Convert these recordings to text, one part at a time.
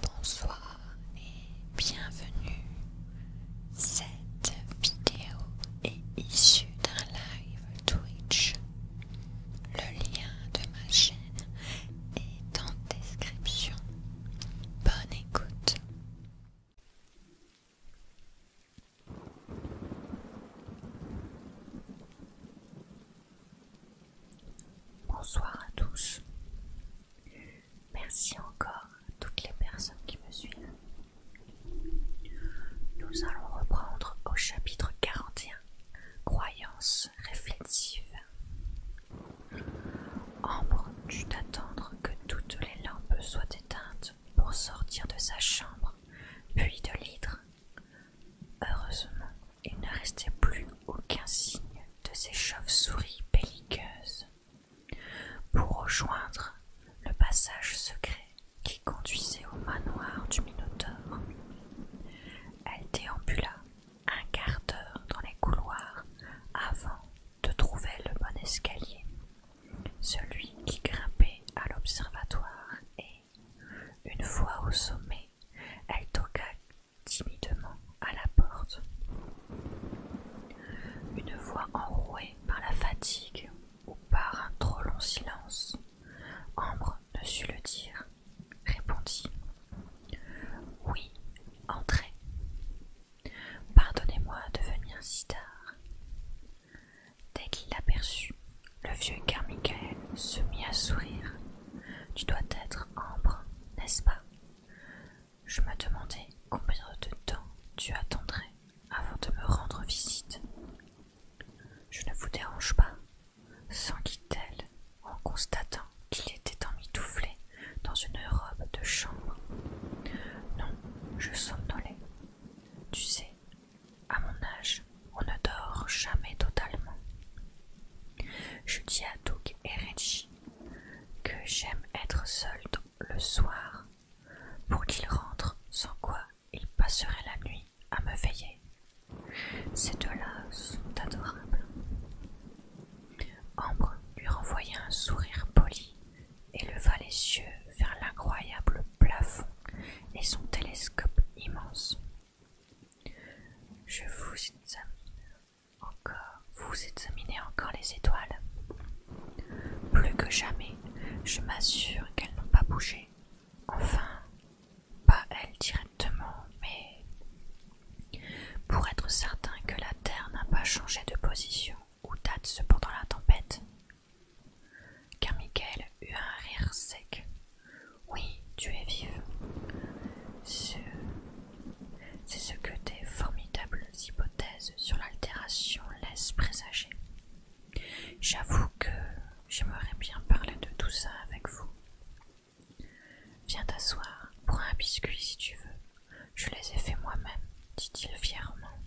Bonsoir et bienvenue. Cette vidéo est issue d'un live Twitch. Le lien de ma chaîne est en description. Bonne écoute. Bonsoir à tous. Merci encore à toutes les personnes qui me suivent. Nous allons reprendre au chapitre 41, Croyances réflexives. Ambre dut attendre que toutes les lampes soient éteintes pour sortir de sa chambre, puis de l'hydre. Heureusement, il ne restait plus aucun signe de ces chauves-souris belliqueuses pour rejoindre le passage secret qui conduisait au manoir du Minotaure. Elle déambula un quart d'heure dans les couloirs avant de trouver le bon escalier, celui qui grimpait à l'observatoire et, une fois au sommet, elle toqua timidement à la porte. Une voix enrouée par la fatigue ou par un trop long silence, Ambre ne sut le dire, répondit. Oui, entrez. Pardonnez-moi de venir si tard. Dès qu'il l'aperçut, le vieux Carmichael se mit à sourire. Tu dois être Ambre, n'est-ce pas je me demandais combien de temps tu attendrais avant de me rendre visite. Je ne vous dérange pas, s'enquit-elle en constatant qu'il était emmitouflé dans une robe de chambre. Non, je somnolais. Tu sais, à mon âge, on ne dort jamais totalement. Je dis à Doug et Reggie que j'aime être seule le soir pour qu'il rentre, sans quoi il passerait la nuit à me veiller. Ces deux-là sont adorables. Ambre lui renvoya un sourire poli et leva les yeux vers l'incroyable plafond et son télescope immense. Je vous aime encore, vous examinez encore les étoiles. Plus que jamais, je m'assure qu'elles n'ont pas bougé. Enfin, pas elles directement, mais pour être certain que la Terre n'a pas changé de position ou date cependant la tempête. Car Michael eut un rire sec. Oui, tu es vive. Ce c'est ce que tes formidables hypothèses sur l'altération laissent présager. J'avoue que j'aimerais bien parler de tout ça avec vous. Viens t'asseoir, prends un biscuit si tu veux. Je les ai faits moi-même, dit-il fièrement.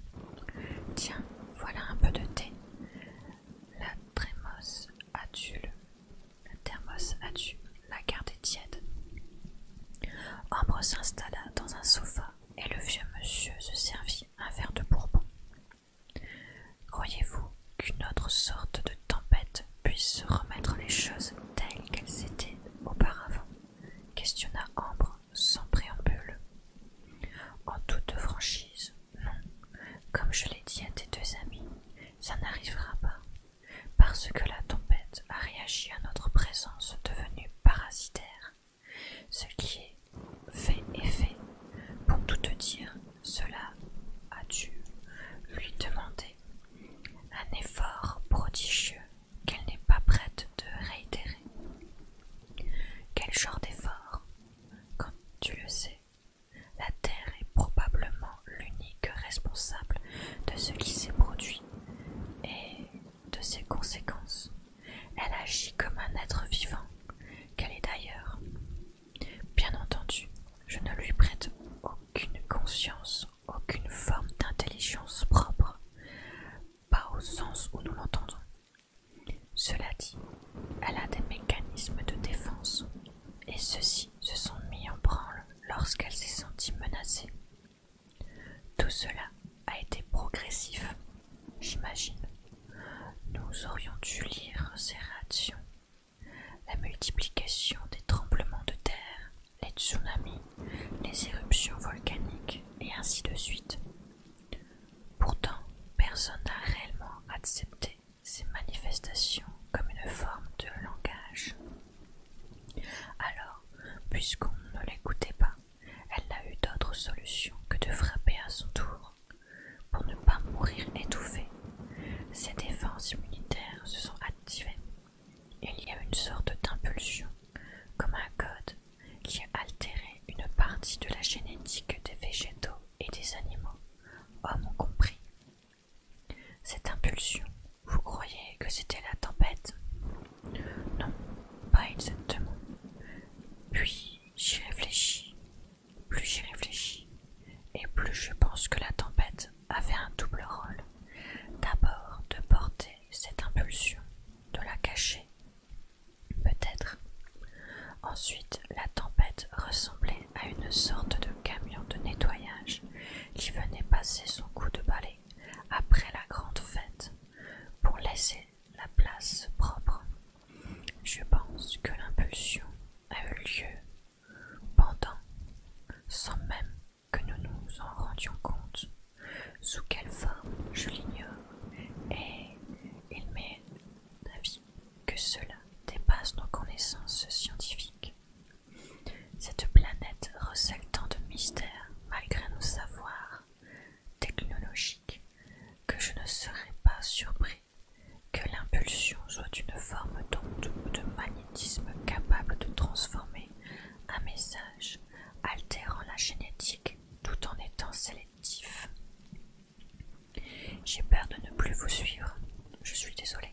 Tiens, voilà un peu de thé. La thermos a tu La thermos a tu la garde est tiède. Ambre s'installa dans un sofa et le vieux monsieur se servit un verre de bourbon. Croyez-vous qu'une autre sorte de tempête puisse remettre les choses telles qu'elles étaient auparavant questionna Ambre sans préambule. En toute franchise, non. Comme je l'ai dit à tes deux amis, ça n'arrivera pas parce que la tempête a réagi à notre présence devenue parasitaire, ce qui est fait et fait. Pour tout te dire, cela a dû lui demander un effort prodigieux qu'elle n'est pas prête de réitérer. Quel genre d'effort Comme tu le sais, la Terre est probablement l'unique responsable de ce qui s'est produit et de ses conséquences. Elle agit comme un être vivant, qu'elle est d'ailleurs. Bien entendu, je ne lui prête aucune conscience, aucune forme d'intelligence propre, pas au sens où nous l'entendons. Cela dit, elle a des mécanismes de défense, et ceux-ci se sont mis en branle lorsqu'elle s'est sentie menacée. Tout cela a été progressif, j'imagine. Nous aurions dû lire ces réactions, la multiplication des tremblements de terre, les tsunamis, les éruptions volcaniques, et ainsi de suite. Pourtant, personne n'a réellement accepté ces manifestations comme une forme de langage. Alors, puisqu'on ne l'écoutait pas, elle n'a eu d'autre solution que de frapper à son tour. Pour ne pas mourir étouffée, ses défenses immunitaires se sont activées. Il y a une sorte d'impulsion, comme un code, qui a altéré une partie de la génétique des végétaux et des animaux, hommes compris. Cette impulsion, vous croyez que c'était la tempête non, pas exactement. Puis j'y réfléchis, plus j'y réfléchis, et plus je pense que la tempête avait un double rôle. D'abord de porter cette impulsion, de la cacher, peut-être. Ensuite, la tempête ressemblait à une sorte de camion de nettoyage qui venait passer son coup de balai après la grande fête pour laisser la place propre. Je pense que l'impulsion a eu lieu pendant, sans même que nous nous en rendions compte, sous quelle forme je l'ignore, et il m'est d'avis que cela dépasse nos connaissances scientifiques. Cette planète recèle tant de mystères, malgré nos savoirs technologiques, que je ne serais pas surpris que l'impulsion soit une forme d'onde ou de magnétisme capable de transformer un message, altérant la génétique tout en étant sélectif. J'ai peur de ne plus vous suivre. Je suis désolé.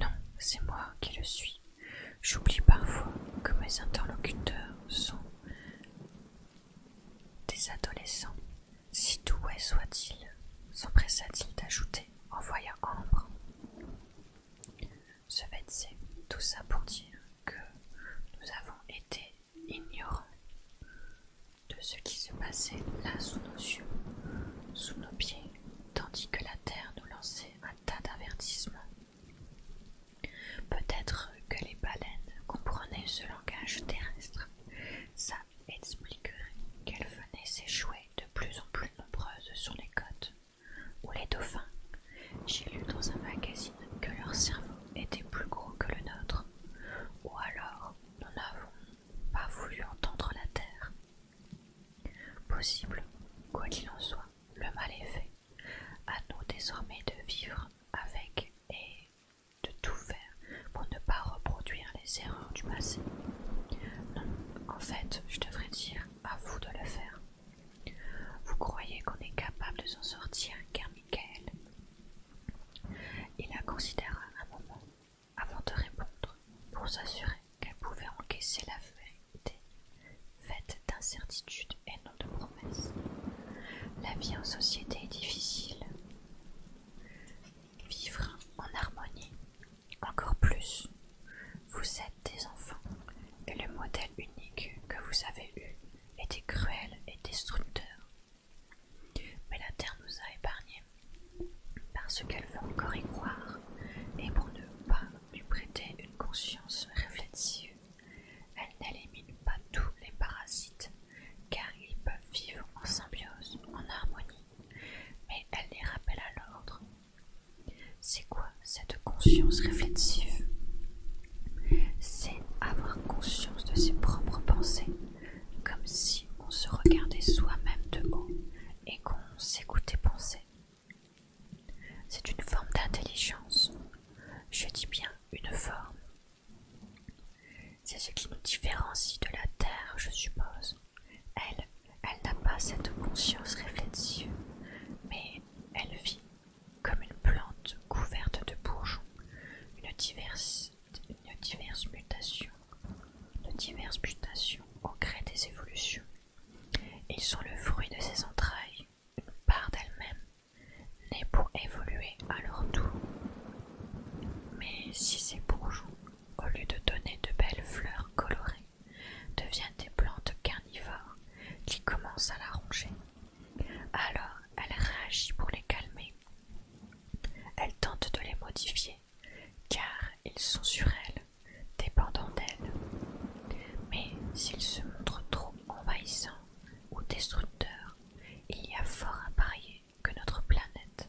Non, c'est moi qui le suis. J'oublie parfois que mes interlocuteurs sont des adolescents. Si doués soient-ils, s'empressa-t-il d'ajouter en voyant Ambre fait, c'est tout ça pour dire que nous avons été ignorants de ce qui se passait là sous nos yeux, sous nos pieds, tandis que la terre nous lançait un tas d'avertissements. Peut-être que les baleines comprenaient ce langage terrestre. Ça expliquerait qu'elles venaient s'échouer de plus en plus nombreuses sur les côtes. Ou les dauphins. J'ai lu dans un magazine que leur cerveau était plus gros que le nôtre. Ou alors, nous n'avons pas voulu entendre la terre. Possible, quoi qu'il en soit, le mal est fait. À nous désormais de vivre avec et de tout faire pour ne pas reproduire les erreurs du passé. Non, en fait, je devrais dire à vous de le faire. Vous croyez qu'on est capable de s'en sortir, car Michael. Il la considéra un moment avant de répondre, pour s'assurer qu'elle pouvait encaisser la vérité, faite d'incertitudes et non de promesses. La vie en société est difficile. Vivre en harmonie, encore plus. Vous êtes des enfants, et le modèle unique que vous avez eu était cruel et destructeur. Mais la Terre nous a épargnés parce qu'elle veut encore y croire, et pour ne pas lui prêter une conscience réflexive, elle n'élimine pas tous les parasites, car ils peuvent vivre en symbiose, en harmonie, mais elle les rappelle à l'ordre. C'est quoi cette conscience réflexive C'est avoir conscience de ses propres pensées, comme si on se regardait soi-même de haut et qu'on s'écoutait penser. C'est une forme d'intelligence. Je dis bien une forme. C'est ce qui nous différencie de la Terre, je suppose. Elle, n'a pas cette conscience réflexive, mais elle vit comme une plante couverte de bourgeons, une diverse, mutation, de diverses mutations au gré des évolutions. Ils sont le fruit de ses entrailles, une part d'elle-même, née pour évoluer à leur tour. Mais si ces bourgeons, au lieu de donner de belles fleurs colorées, deviennent des plantes carnivores qui commencent à la ronger, alors elle réagit pour les calmer. Elle tente de les modifier car ils sont sur elle, dépendants d'elle. Mais s'ils se montrent trop envahissants ou destructeurs, il y a fort à parier que notre planète,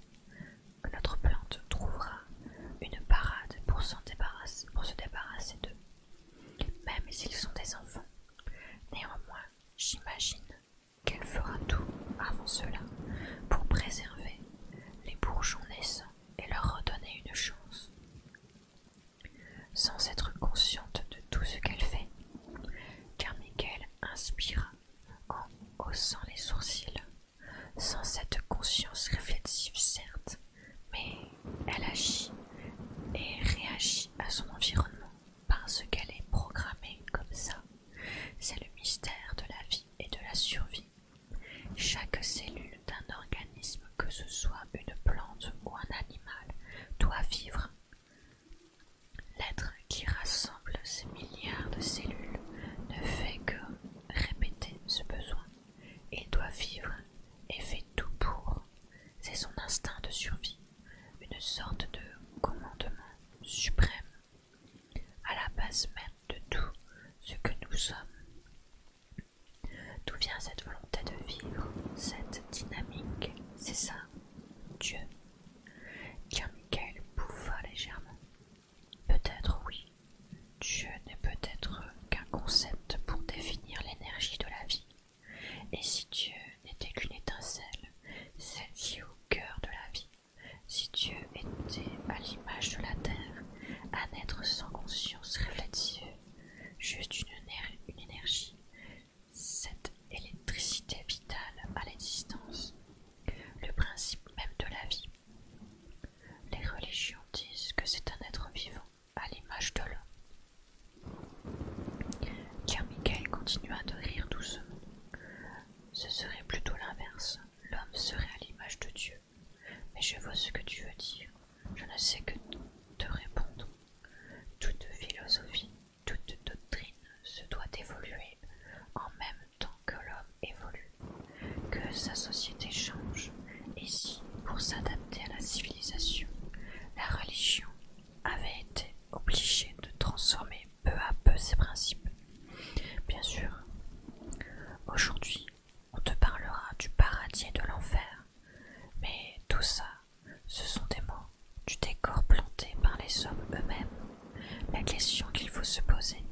notre plante trouvera une parade pour se débarrasser d'eux. Même s'ils sont des enfants, néanmoins, j'imagine qu'elle fera tout avant cela pour préserver les bourgeons naissants et leur redonner une chance. Sans être consciente de tout ce qu'elle fait, car Carmichael inspire en haussant les sourcils, sans cette conscience réflexive certes, mais elle agit et réagit à son environnement parce qu'elle est programmée comme ça. C'est le mystère de la vie et de la survie. Chaque cellule d'un organisme, que ce soit une plante ou un animal, doit vivre. L'être qui rassemble ces milliards de cellules ne fait que répéter ce besoin. Il doit vivre et fait tout pour. C'est son instinct de survie, une sorte de commandement suprême, à la base même de tout ce que nous sommes. D'où vient cette volonté de vivre, cette dynamique C'est ça, Dieu. Car Michael bouffa légèrement. Peut-être oui. Dieu n'est peut-être qu'un concept pour définir l'énergie de la vie. Et si Dieu n'était qu'une étincelle, celle qui au cœur de la vie, si Dieu était à l'image de la terre, un être sans conscience réflexive, juste une, énergie, cette électricité vitale à l'existence, le principe même de la vie. Les religions disent que c'est un être vivant à l'image de l'homme. Car Michael continua de rire doucement. Ce serait plutôt l'inverse. L'homme serait à l'image de Dieu. Mais je vois ce que tu veux dire je ne sais que te répondre. Toute philosophie, toute doctrine se doit d'évoluer en même temps que l'homme évolue, que sa société change, et si, pour s'adapter à la civilisation, la religion avait été obligée de transformer peu à peu ses principes. Bien sûr, aujourd'hui, on te parlera du paradis et de l'enfer. Mais tout ça, ce sont des mots du décor planté par les hommes eux-mêmes. La question qu'il faut se poser,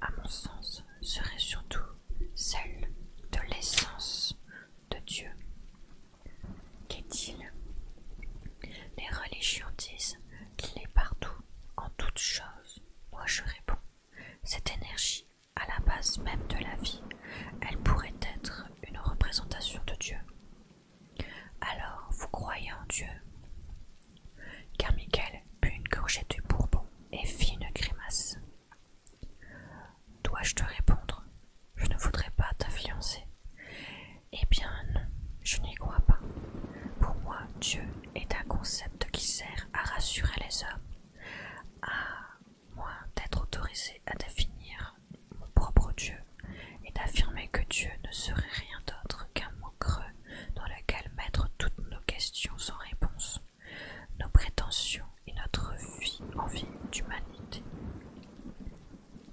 à mon sens, serait surtout celle de l'essence de Dieu. Qu'est-il Les religions disent qu'il est partout, en toutes choses. Moi je réponds, cette énergie à la base même de la vie, elle pourrait être une représentation de Dieu. Alors, vous croyez en Dieu Car put une gorgée de bourbon et fit une grimace. Dois-je te répondre Je ne voudrais pas fiancée. Eh bien non, je n'y crois pas. Pour moi, Dieu est un concept qui sert à rassurer les hommes, à moi, d'être autorisé à définir mon propre Dieu et d'affirmer que Dieu ne serait rien d'autre qu'un mot creux dans lequel mettre toutes nos questions sans réponse, nos prétentions et notre vie envie d'humanité.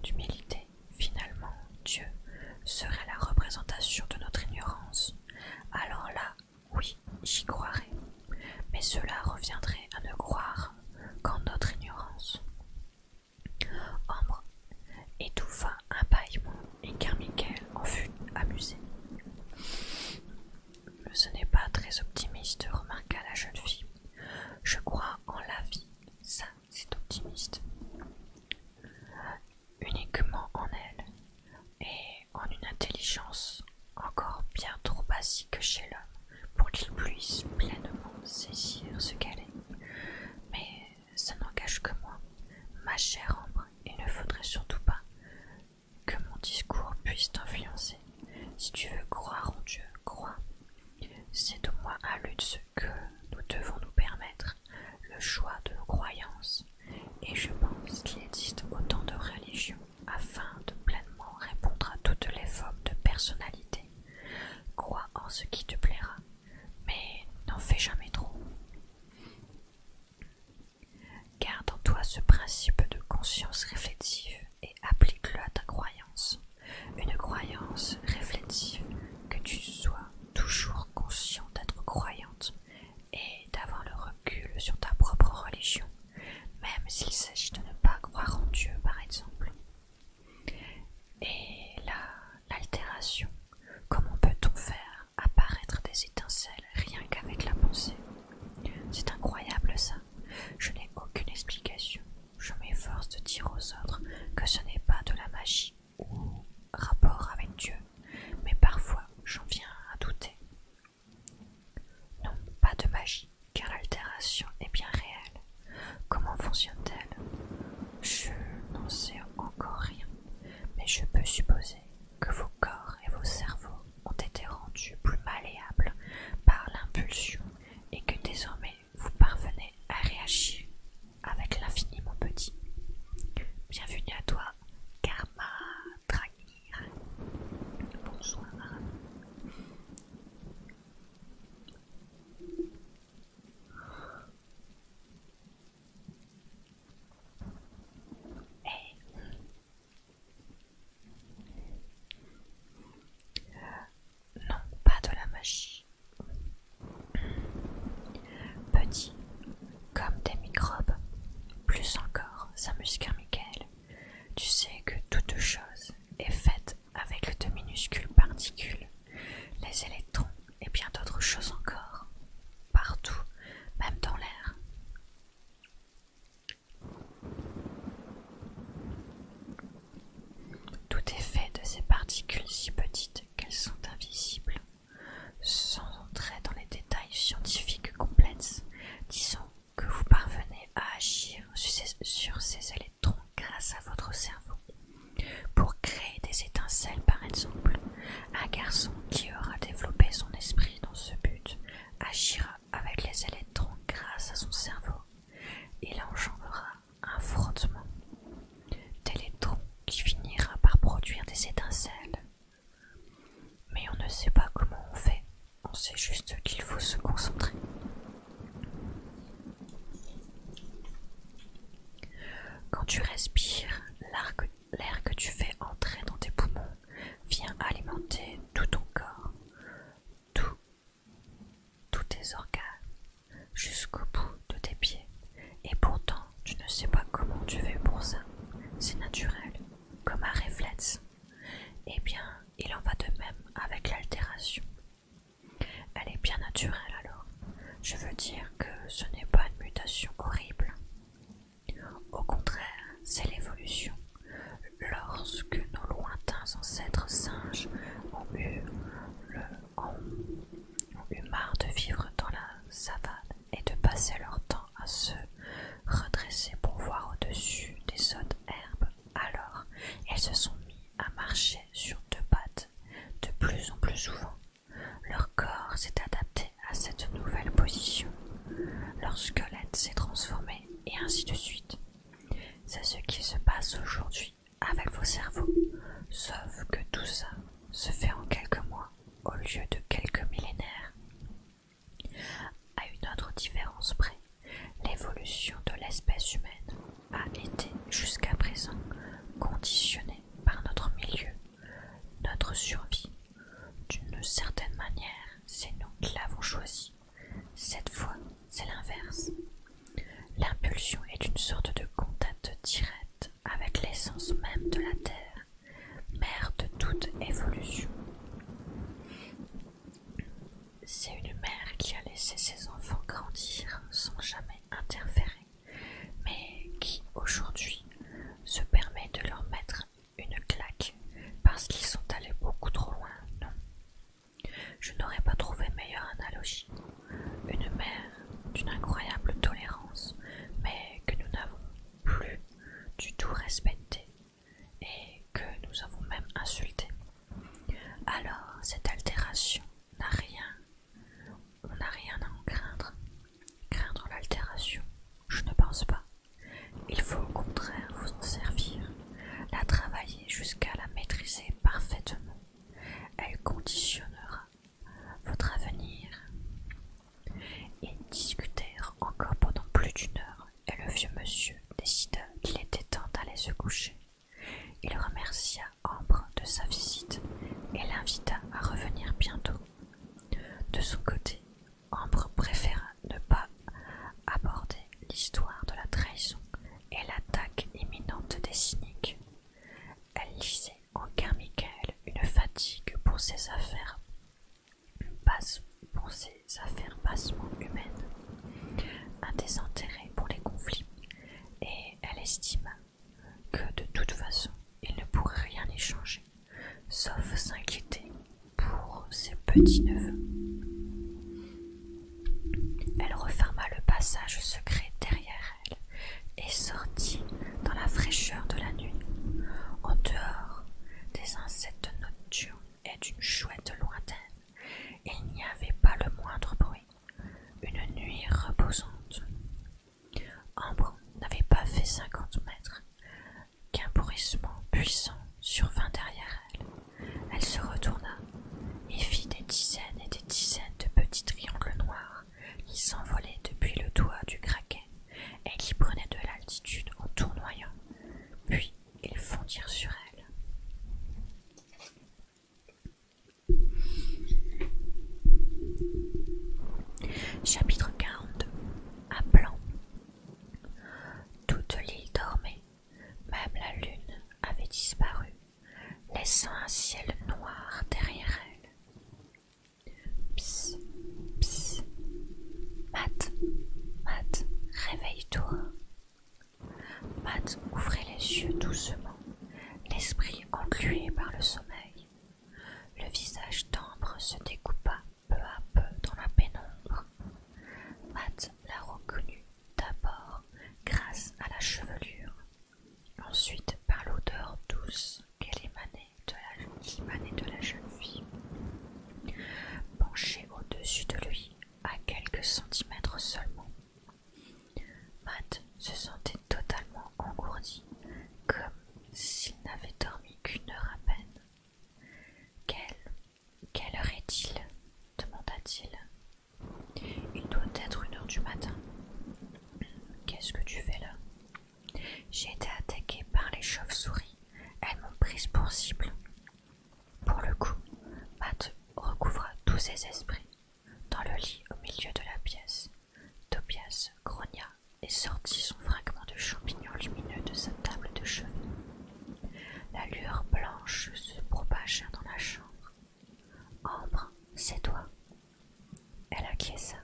D'humilité, finalement, Dieu serait la représentation de notre ignorance. Alors là, oui, j'y croirais, mais cela reviendrait à ne croire qu'en notre ignorance. Ambre étouffa un bâillement et Carmichael en fut amusé. Ce n'est pas très optimiste, remarqua la jeune fille. Je crois en la vie, ça c'est optimiste. Uniquement en elle et en une intelligence encore bien trop basique chez l'homme pour qu'il puisse pleinement saisir ce qu'elle est. Mais ça n'engage que moi, ma chère Ambre, il ne faudrait surtout pas que mon discours puisse t'influencer. Si tu veux croire en Dieu, crois. C'est au moins à lui de ce que nous devons nous permettre, le choix de nos croyances, et je pense qu'il existe autant de religions afin de pleinement répondre à toutes les formes de personnalité. Crois en ce qui te plaira, mais n'en fais jamais trop. Garde en toi ce principe de conscience réflexive et applique-le à ta croyance. Une croyance réflexive, que tu sois toujours conscient d'être croyante et d'avoir le recul sur ta propre religion même s'il s'agit de ne pas croire en Dieu par exemple. Et là, l'altération, comment peut-on faire apparaître des étincelles rien qu'avec la pensée C'est incroyable ça. Je n'ai aucune explication. Je m'efforce de dire aux autres que ce n'est pas de la magie ou rapport avec Dieu, mais parfois j'en viens à douter. Non, pas de magie, car l'altération est bien réelle. Comment fonctionne-t-elle Je n'en sais encore rien, mais je peux supposer que vos corps et vos cerveaux ont été rendus plus malléables par l'impulsion et que désormais vous parvenez à réagir avec l'infiniment petit. Bienvenue à toi, Karma Draghi. Euh, non, pas de la magie. Petit, comme des microbes, plus encore, s'amuse Michael. Tu sais que toute chose est faite avec deux minuscules particules, les électrons et bien d'autres choses encore, partout, même dans l'air. Tout est fait de ces particules si petites qu'elles sont invisibles. Sans entrer dans les détails scientifiques complexes, disons que vous parvenez à agir sur ces, électrons grâce à votre cerveau pour créer des étincelles par exemple. Un garçon qui aura développé son esprit dans ce but agira avec les électrons grâce à son cerveau. Il engendrera un frottement d'électrons qui finira par produire des étincelles. Mais on ne sait pas comment on fait on sait juste qu'il faut se concentrer. Quand tu respires, l'air que tu fais entrer dans tes poumons vient alimenter tout ton corps, tout, tous tes organes, jusqu'au bout de tes pieds. Et pourtant, tu ne sais pas comment tu fais pour ça. C'est naturel, comme un réflexe. Eh bien, il en va de même avec l'altération. Elle est bien naturelle alors. Je veux dire que ce n'est pas une mutation horrible. Au contraire, c'est l'évolution. Lorsque nos lointains ancêtres singes ont eu, marre de vivre dans la savane et de passer leur temps à se redresser pour voir au-dessus des hautes herbes, alors, elles se sont mis à marcher sur deux pattes de plus en plus souvent. Leur corps s'est adapté à cette nouvelle position. Leur squelette s'est transformé et ainsi de suite. C'est ce qui se passe aujourd'hui avec vos cerveaux, sauf que tout ça se fait en quelques mois au lieu de quelques millénaires. À une autre différence près, l'évolution de l'espèce humaine a été jusqu'à présent conditionnée par notre milieu, notre survie. D'une certaine manière, c'est nous qui l'avons choisi. Cette fois, c'est l'inverse. L'impulsion est une sorte de contact direct avec l'essence même de la Terre, mère de toute évolution. C'est une mère qui a laissé ses enfants grandir sans jamais interférer, mais qui aujourd'hui se permet de leur mettre une claque parce qu'ils sont allés beaucoup trop loin, non Je n'aurais pas trouvé meilleure analogie. Une mère d'une incroyable tolérance, mais que nous n'avons plus du tout respectée et que nous avons même insulté. Alors cette altération n'a rien, on n'a rien à en craindre. Craindre l'altération, je ne pense pas. Il faut au contraire vous en servir, la travailler jusqu'à la maîtriser parfaitement. Elle conditionnera votre avenir. et discutèrent encore pendant plus d'une heure et le vieux monsieur décida qu'il était temps d'aller se coucher. Il remercia Ambre de sa visite et l'invita à revenir bientôt. De son côté, Ambre préféra ne pas aborder l'histoire de la trahison et l'attaque imminente des cyniques. Elle lisait en Carmichael une fatigue pour ses affaires, passe pour ses Affaire affaires bassement humaines, un désintérêt pour les conflits, et elle estima que de toute façon il ne pourrait rien échanger, sauf s'inquiéter pour ses petits-neveux. Elle referma le passage secret derrière elle et sortit dans la fraîcheur de la nuit, en dehors des insectes nocturnes et d'une chouette lointaine il n'y avait pas le moindre bruit. Une nuit reposante. Ambre n'avait pas fait cinquante mètres qu'un bourrissement puissant survint derrière elle. Elle se retourna et fit des dizaines et des dizaines de petits triangles noirs qui s'envolaient depuis le doigt du craquet et qui prenaient de l'altitude en tournoyant, puis ils fondirent sur elle. Chapitre 42 À blanc. Toute l'île dormait, même la lune avait disparu, laissant un ciel noir derrière elle. Psst, psst, Matt, Matt, réveille-toi. Matt ouvrait les yeux doucement, l'esprit englué par le sommeil. Le visage timbre se découpa peu à peu dans la pénombre. Matt la reconnut d'abord grâce à la chevelure, ensuite par l'odeur douce qu'elle émanait de la jeune fille. Penchée au-dessus de lui, à quelques centimètres seulement. Matt se sentait totalement engourdi, comme s'il n'avait dormi qu'une heure à peine. Quelle, quelle heure est-il demanda-t-il. Il doit être une heure du matin. Qu'est-ce que tu fais là J'ai été attaquée par les chauves-souris. Elles m'ont prise pour cible. Pour le coup, Matt recouvra tous ses esprits. Dans le lit au milieu de la pièce, Tobias grogna et sortit son fragment de champignon lumineux de sa table de chevet. La lueur blanche se propagea dans la chambre. Ambre, c'est toi. Elle acquiesça.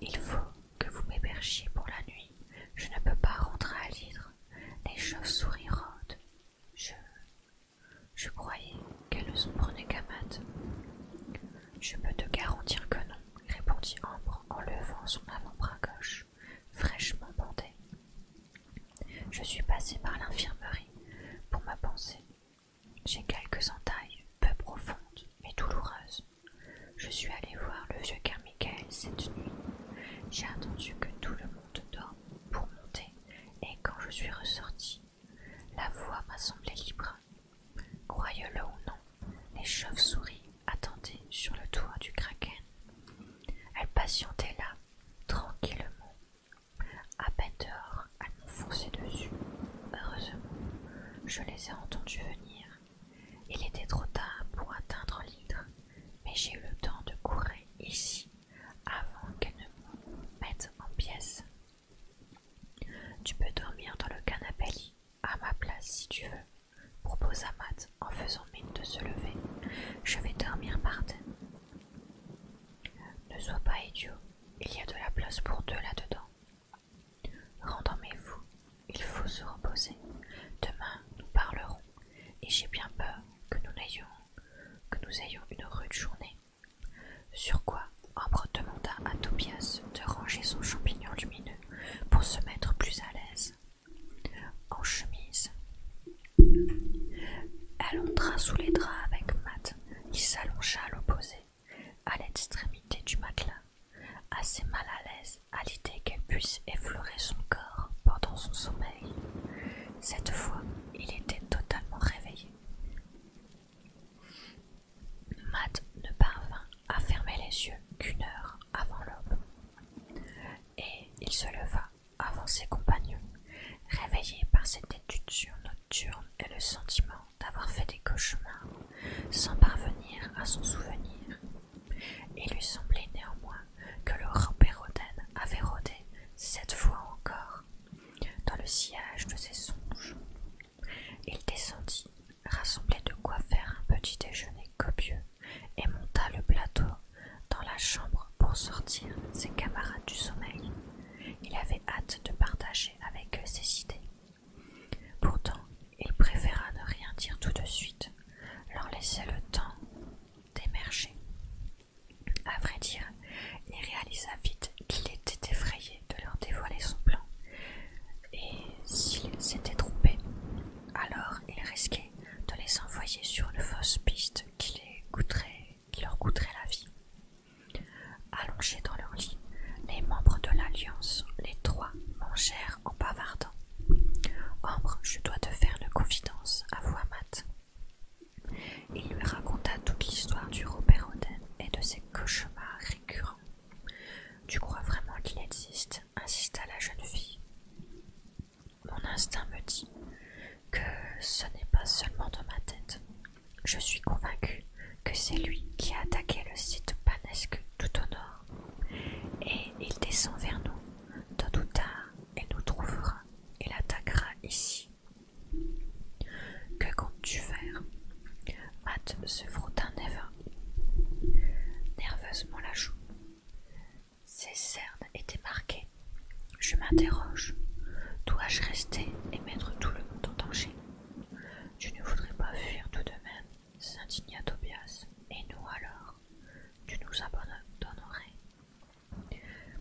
Il faut que vous m'hébergiez pour la nuit. Je ne peux pas rentrer à l'hydre. Les chauves-souris rôdent. Je. Je croyais qu'elle se prenait Camat. Je peux te garantir que non, répondit Ambre en levant son avant-bras gauche, fraîchement bandé. Je suis passée par l'infirmerie pour ma pensée. J'ai quelques entailles, peu profondes, mais douloureuses. Je suis allée voir le vieux Carmichael cette nuit. J'ai attendu que tout le monde dorme pour monter, et quand je suis ressorti, la voie m'a semblé libre. Croyez-le ou non, les chauves-souris attendaient sur le toit du kraken. Elles patientaient là, tranquillement. À peine dehors, elles m'ont foncé dessus. Heureusement, je les ai entendues venir. Il était trop tard pour atteindre l'hydre, mais j'ai eu le temps de courir ici avant qu'elle ne mette en pièces. Tu peux dormir dans le canapé à ma place si tu veux, propose Matt en faisant mine de se lever. Je vais dormir par terre. Ne sois pas idiot, il y a de la place pour deux là-dedans. Rendormez-vous, il faut se reposer. Demain, nous parlerons, et j'ai bien peur que nous n'ayons que nous ayons une rude journée. Sur quoi Ambre demanda à Tobias de ranger son champignon lumineux pour se mettre plus à l'aise. En chemise. elle entra sous les draps avec Matt, qui s'allongea à l'opposé, à l'extrémité du matelas, assez mal à l'aise à l'idée qu'elle puisse effleurer son corps pendant son sommeil. Cette fois, il était totalement réveillé. Matt ne parvint à fermer les yeux qu'une heure avant l'aube. Et il se leva avant ses compagnons, réveillé par cette étude nocturne et le sentiment d'avoir fait des cauchemars sans parvenir à son souvenir. Il lui semblait néanmoins que le Ramperoden avait rôdé cette fois encore dans le sillage de ses songes. Il descendit, rassemblait de quoi faire un petit déjeuner copieux, et monta le plateau dans la chambre pour sortir ses camarades du sommeil. Il avait hâte de partager avec eux ses idées. Pourtant, il préféra ne rien dire tout de suite, leur laisser le temps d'émerger. À vrai dire, il réalisa vite qu'il était effrayé de leur dévoiler son plan, et s'il s'étaient trompés, alors il risquait de les envoyer sur une fausse piste qui, les leur coûterait la vie. Allongés dans leur lit, les membres de l'Alliance, les trois, mangèrent en bavardant. Ambre, je dois te faire une confidence, avoua Matt. Il lui raconta toute l'histoire du Robert Oden et de ses cauchemars récurrents. Tu crois vraiment qu'il existe insista la jeune fille. Mon instinct me dit que ce n'est pas seulement dans ma tête. Je suis convaincue que c'est lui qui a attaqué le site panesque tout au nord. Et il descend vers nous. Tôt ou tard, et nous trouvera. et l'attaquera ici, que comptes-tu faire Matt se frotta nerveusement la joue. Ses cernes étaient marquées. Je m'interroge. Dois-je rester et mettre tout le monde en danger Tu ne voudrais pas fuir tout de même, s'indigna Tobias. Et nous alors Tu nous abandonnerais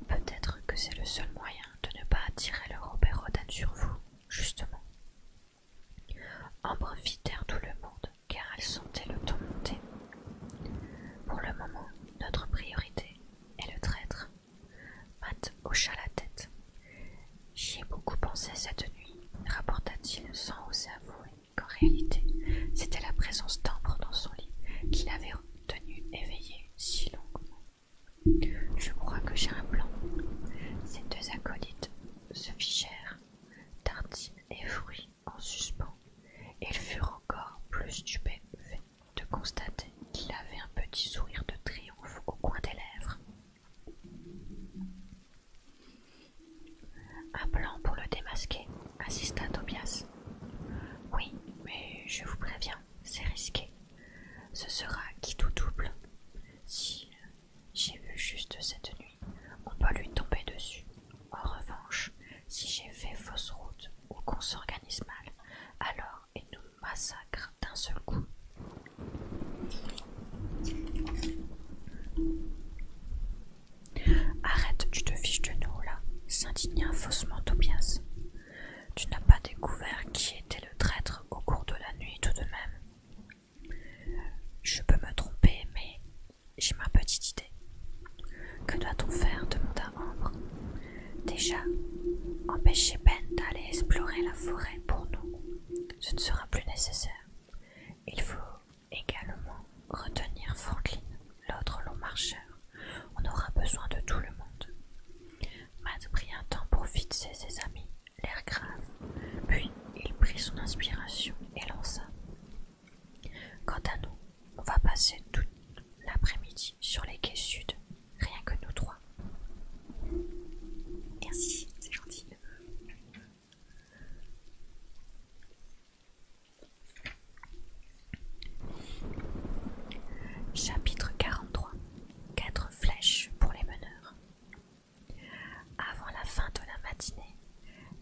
Peut-être que c'est le seul moyen de ne pas attirer le Robert Rodin sur vous, justement. Ambre fitèrent tout le monde, car elle sentait le temps monter. Pour le moment, notre priorité est le traître. Matt hocha la tête. J'y ai beaucoup pensé cette nuit, rapporta-t-il sans oser avouer qu'en réalité, c'était la présence d'Ambre dans son lit qui l'avait Tenu éveillé si longuement. Je crois que j'ai un plan. Ces deux acolytes se fichèrent, tartines et fruits en suspens, ils furent encore plus stupéfaits de constater qu'il avait un petit sourire de triomphe au coin des lèvres. Un plan pour le démasquer, insista Tobias. Oui, mais je vous préviens, c'est risqué. Ce sera qui tout double. Si j'ai vu juste cette nuit, on peut lui tomber dessus. En revanche, si j'ai fait fausse route ou qu'on s'organise mal, alors il nous massacre d'un seul coup. Arrête, tu te fiches de nous là, s'indignait faussement Tobias. Tu n'as pas découvert qui était le traître au cours de la nuit tout de même. Je peux me tromper, mais j'ai ma petite idée. Que doit-on faire demanda membre. Déjà, empêcher Ben d'aller explorer la forêt pour nous. Ce ne sera plus nécessaire. Il faut également retenir Franklin, l'autre long marcheur on aura besoin de tout le monde. Matt prit un temps pour fixer ses amis, l'air grave, puis il prit son inspiration et lança. Quant à nous, on va passer tout l'après-midi sur les quais sud, rien que nous trois. Merci, c'est gentil. Chapitre 43 Quatre flèches pour les meneurs. Avant la fin de la matinée,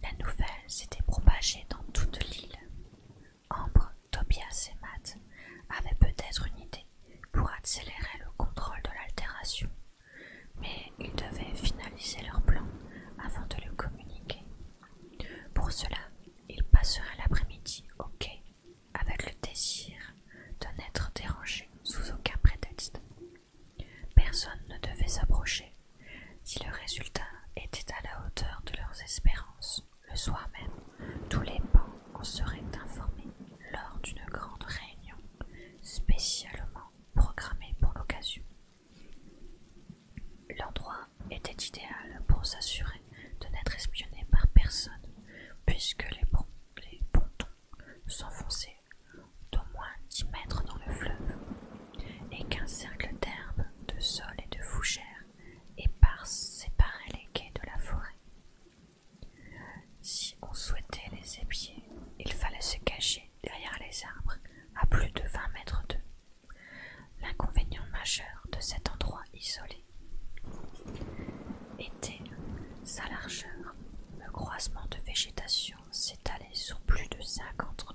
la nouvelle s'était propagée dans toute l'île. Ambre, Tobias et Matt avaient peut-être une idée pour accélérer le contrôle de l'altération, mais ils devaient finaliser leur plan avant de le communiquer. Pour cela, ils passeraient l'après-midi au quai avec le désir de n'être dérangé sous aucun prétexte. Personne ne devait s'approcher si le résultat était à la hauteur de leurs espérances. Le soir même, tous les bancs en seraient informés lors d'une grande réunion spécialement programmée pour l'occasion. L'endroit était idéal pour s'assurer de n'être espionné par personne, puisque les, pontons s'enfonçaient d'au moins 10 mètres dans le fleuve, et qu'un cercle d'herbe, de sol et de fougères épars séparait les quais de la forêt. Si on souhaitait les épier, il fallait se cacher derrière les arbres à plus de 20 mètres d'eux. L'inconvénient majeur de cet endroit isolé était sa largeur, le croisement de végétation s'étalait sur plus de 50,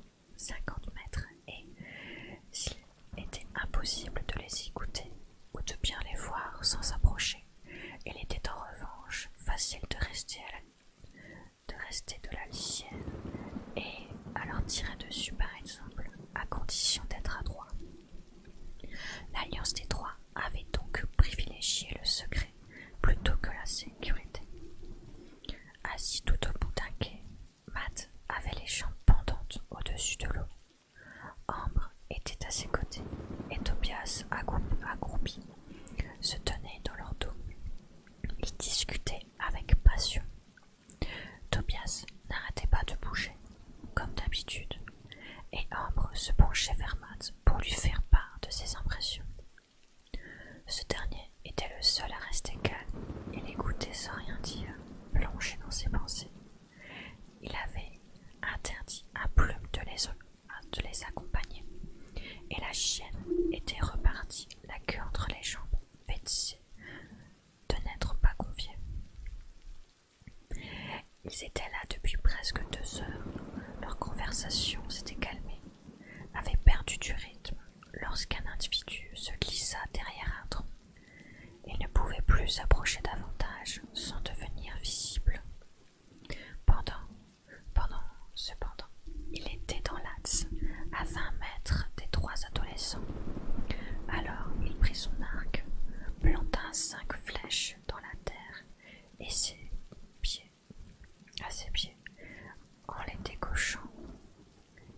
mètres et, s'il était impossible de les écouter ou de bien les voir sans s'approcher, il était en revanche facile de rester, de, rester de la lisière et à leur tirer dessus par exemple, à condition d'être adroit. L'Alliance des Trois avait donc privilégié le secret plutôt que la sécurité. Assis tout au bout d'un quai, Matt avait les jambes pendantes au-dessus de l'eau. Ambre était à ses côtés et Tobias, accroupi, se tenait dans leur dos. Ils discutaient avec passion. Tobias n'arrêtait pas de bouger. Comme d'habitude, et Ambre se penchait vers Matt pour lui faire part de ses impressions. Ce dernier était le seul à rester calme et l'écouter sans rien dire, plongé dans ses pensées. Il avait interdit à Plume de les, accompagner, et la chienne était repartie, la queue entre les jambes, vexée de n'être pas confiée. Ils étaient là depuis presque deux heures. Leur conversation s'était calmée, avait perdu du rythme lorsqu'un individu se glissa derrière un tronc. Il ne pouvait plus s'approcher davantage sans devenir visible. Pendant, pendant, cependant, il était dans l'axe, à vingt mètres des trois adolescents. Alors il prit son arc, planta cinq flèches dans la terre et ses pieds, à ses pieds, en les décochant,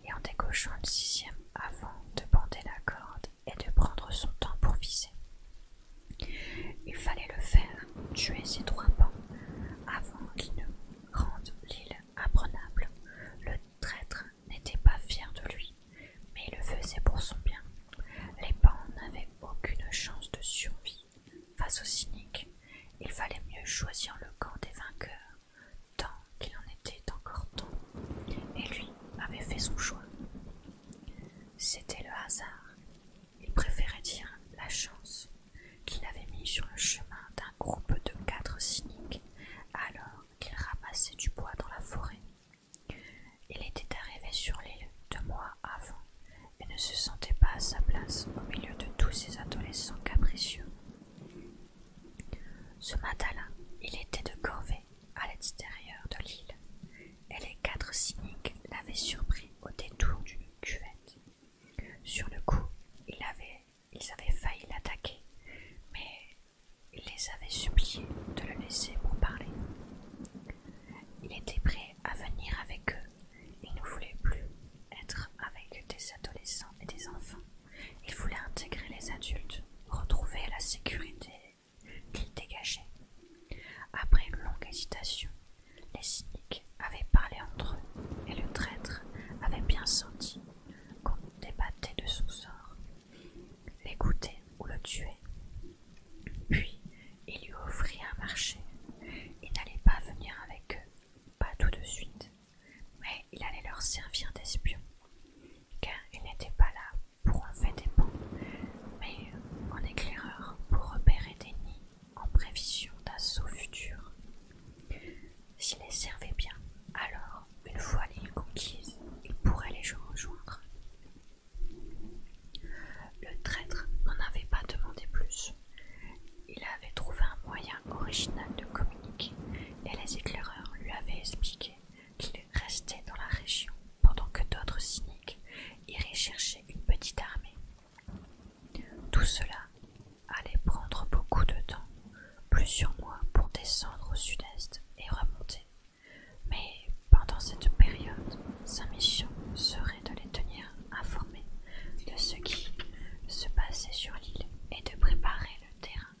et en décochant le sixième avant de bander la corde et de prendre son temps pour viser. Il fallait le faire, tuer ses trois pans, avant qu'ils ne rendent l'île imprenable. Le traître n'était pas fier de lui, mais il le faisait pour son bien. Les pans n'avaient aucune chance de survie. Face aux cyniques, il fallait mieux choisir le camp des vainqueurs, tant qu'il en était encore temps. Et lui avait fait son choix. C'était le hasard, il préférait dire la chance, qu'il avait mis sur le chemin d'un groupe de quatre cyniques alors qu'il ramassait du bois dans la forêt. Il était arrivé sur l'île deux mois avant et ne se sentait pas à sa place au milieu de tous ces adolescents capricieux. Ce matin-là, il était de corvée à l'extérieur de l'île et les quatre cyniques l'avaient surpris au détour d'une cuvette. Sur le coup, ils avaient failli l'attaquer, mais il les avait suppliés de le laisser pour parler. Il était prêt à venir avec eux. Il ne voulait plus être avec des adolescents et des enfants. Il voulait intégrer les adultes, retrouver la sécurité qu'il dégageait. Après une longue hésitation, les cyniques avaient parlé entre eux et le traître avait bien senti qu'on débattait de son sort l'écouter ou le tuer. Puis il lui offrit un marché. Il n'allait pas venir avec eux, pas tout de suite, mais il allait leur servir d'espion, car il n'était pas là pour enlever des bancs, mais en éclaireur pour repérer des nids en prévision d'assauts futur S'il les servait bien, alors, une fois les conquises il pourrait les rejoindre. Le traître n'en avait pas demandé plus. Il avait trouvé un moyen original de communiquer et les éclaireurs lui avaient expliqué qu'il restait dans la région pendant que d'autres cyniques iraient chercher une petite armée. Tout cela allait prendre beaucoup de temps, plusieurs mois pour descendre au sud-est et remonter mais pendant cette période, sa mission serait de les tenir informés de ce qui se passait sur l'île et de préparer le terrain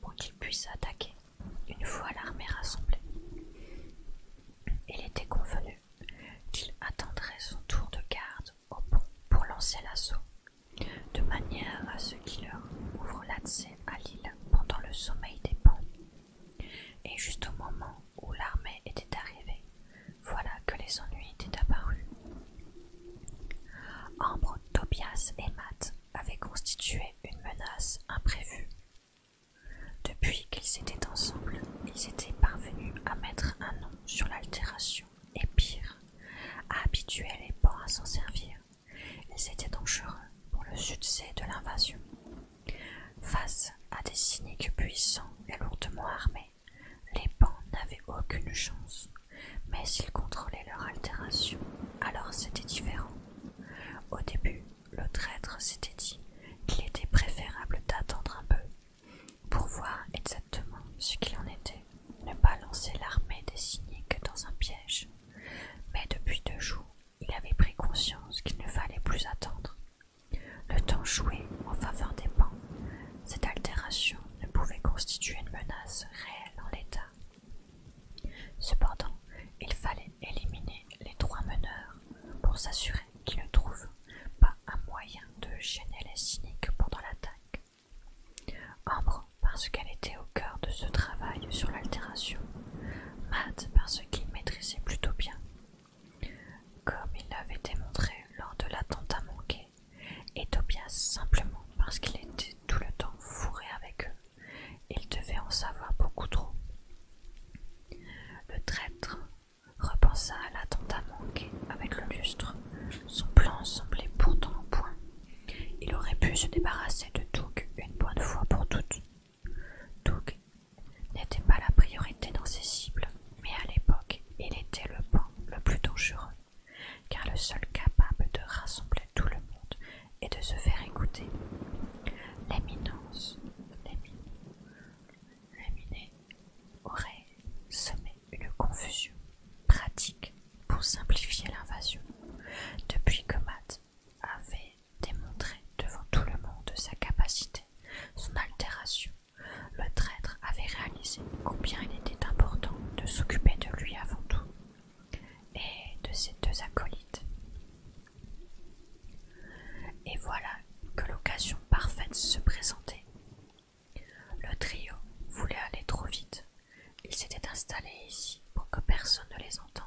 pour qu'ils puissent attaquer une fois l'armée rassemblée. Il était convenu qu'il attendrait son tour de garde au pont pour lancer l'assaut, de manière à ce qu'il leur ouvre l'accès à l'île pendant le sommeil des ponts et juste au moment où l'armée était arrivée, voilà que les ennuis étaient apparus. Ambre, Tobias et Matt avaient constitué une menace imprévue. Depuis qu'ils étaient ensemble, ils étaient parvenus à mettre un nom sur l'altération, et pire, à habituer les pans à s'en servir. Ils étaient dangereux pour le succès de l'invasion. Face à des cyniques puissants et lourdement armés, les pans n'avaient aucune chance, mais s'ils contrôlaient leur altération, alors c'était différent. Au début, le traître s'était dit qu'il était préférable d'attendre un peu pour voir exactement ce qu'il en était, ne pas lancer l'armée des cyniques dans un piège. Mais depuis deux jours, il avait pris conscience qu'il ne fallait plus attendre. Le temps jouait en faveur des pans. Cette altération ne pouvait constituer une menace réelle en l'état. Cependant, il fallait éliminer les trois meneurs pour s'assurer qu'ils ne trouvent pas un moyen de gêner les cyniques pendant l'attaque. Ambre, parce qu'elle était au cœur de ce travail sur l'altération, Matt, parce qu'il maîtrisait plutôt bien comme il l'avait démontré lors de l'attentat manqué, et Tobias simplement parce qu'il était tout le temps fourré avec eux, il devait en savoir beaucoup trop. Le traître repensa à l'attentat manqué avec le lustre. Son plan semblait pourtant au point. Il aurait pu se débarrasser de Doug une bonne fois pour toutes, Doug n'était pas la priorité dans ses cibles, mais à l'époque, il était le pan le plus dangereux, car le seul capable de rassembler tout le monde et de se faire écouter. L'éminence, l'éminé, aurait semé une confusion pratique pour simplifier l'invasion. Depuis que Matt avait démontrer devant tout le monde sa capacité, son altération. Le traître avait réalisé combien il était important de s'occuper de lui avant tout et de ses deux acolytes. Et voilà que l'occasion parfaite se présentait. Le trio voulait aller trop vite. Ils s'étaient installés ici pour que personne ne les entende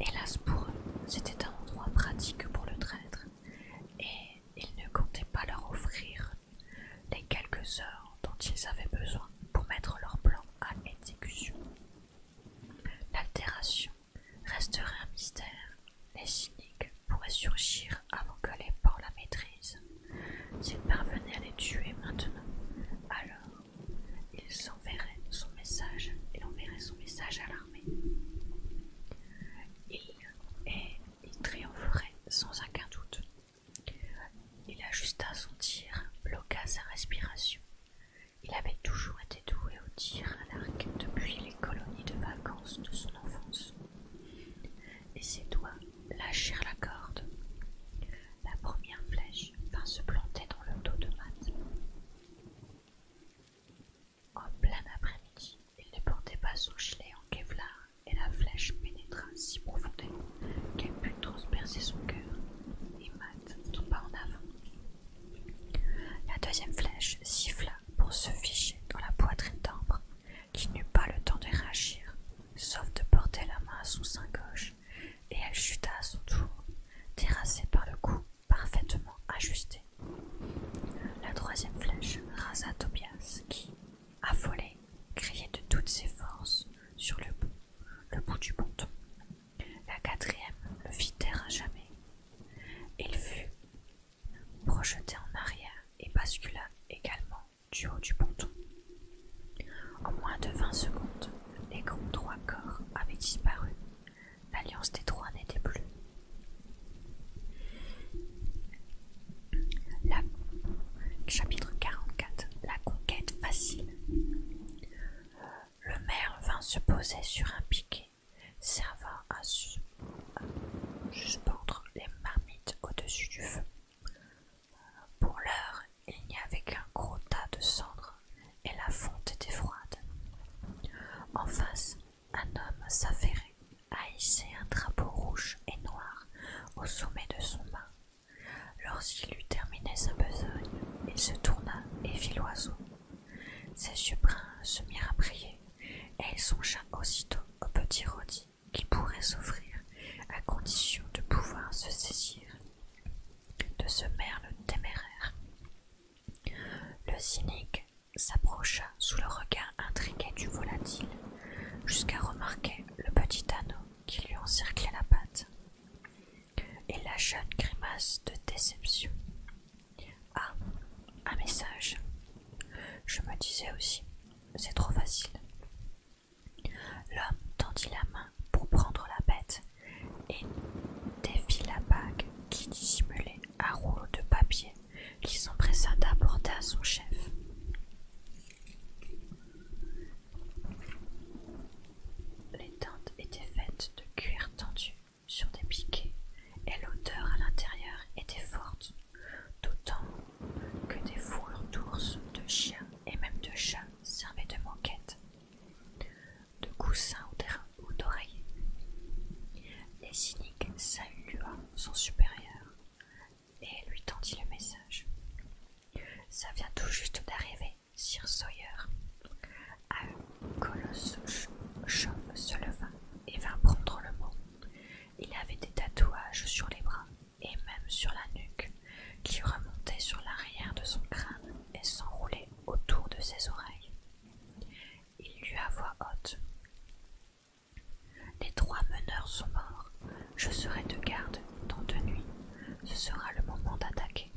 Hélas pour eux, c'était un endroit pratique pour le traître, et ils ne comptaient pas leur offrir les quelques heures dont ils avaient besoin pour mettre leur plan à exécution. L'altération resterait un mystère. Les cyniques pourraient surgir avant que les ports la maîtrisent. S'ils parvenaient à les tuer maintenant, alors ils enverraient son message, et enverraient son message à la il triompherait sans aucun doute. Il ajusta son tir, bloqua sa respiration. Il avait toujours été doué au tir à l'arc depuis les colonies de vacances de son enfance. Et ses doigts lâchèrent la corde. La première flèche vint se planter dans le dos de Matt. En plein après-midi, il ne portait pas son gilet en kevlar et la flèche pénétra si profondément qu'elle put transpercer son cœur, et Matt tomba en avant. La deuxième flèche siffla pour se ficher dans la poitrine d'Ambre, qui n'eut pas le temps de réagir, sauf de porter la main à son sein gauche, et elle chuta à son tour, terrassée par le coup parfaitement ajusté la troisième flèche rasa Tobias qui, affolé, criait de toutes ses forces sur le bout, le bout du ponton. La quatrième le fit taire à jamais. Il fut projeté en arrière et bascula également du haut du ponton. En moins de vingt secondes, les grands trois corps avaient disparu L'alliance des trois n'était plus. Chapitre 44 La conquête facile. Le maire vint se poser sur un piquet, servant à suspendre les marmites au-dessus du feu. Pour l'heure, il n'y avait qu'un gros tas de cendres et la fonte était froide. En face, un homme s'affairait à un drapeau rouge et noir au sommet de son mât. Lorsqu'il eut terminé sa besogne, il se tourna et vit l'oiseau. Ses yeux bruns se mirent à prier, et il songea aussitôt au petit rodi qui pourrait s'offrir à condition de pouvoir se saisir de ce merle téméraire. Le cynique s'approcha sous le regard intrigué du volatile, jusqu'à remarquer le petit anneau qui lui encerclait la patte. Et la jeune grimace de déception. Ah, un message. Je me disais aussi, c'est trop facile. L'homme tendit la main pour prendre la bête et défit la bague qui dissimulait à rouleaux de papier qui s'empressa d'apporter à son chef. Les tentes étaient faites de cuir tendu sur des piquets et l'odeur à l'intérieur était forte, d'autant que des fourrures d'ours, de chiens et même de chats servaient de manquette, De coussins ou ou Les cyniques salua son supérieur et lui tendit le message. Ça vient tout juste d'arriver, Sir Sawyer. Un colosse se leva et vint prendre le mot. Il avait des tatouages sur les bras et même sur la nuque qui remontaient sur l'arrière de son crâne et s'enroulaient autour de ses oreilles. Il lui a voix haute. Les trois meneurs sont morts. Je serai de garde dans deux nuits. Ce sera le moment d'attaquer.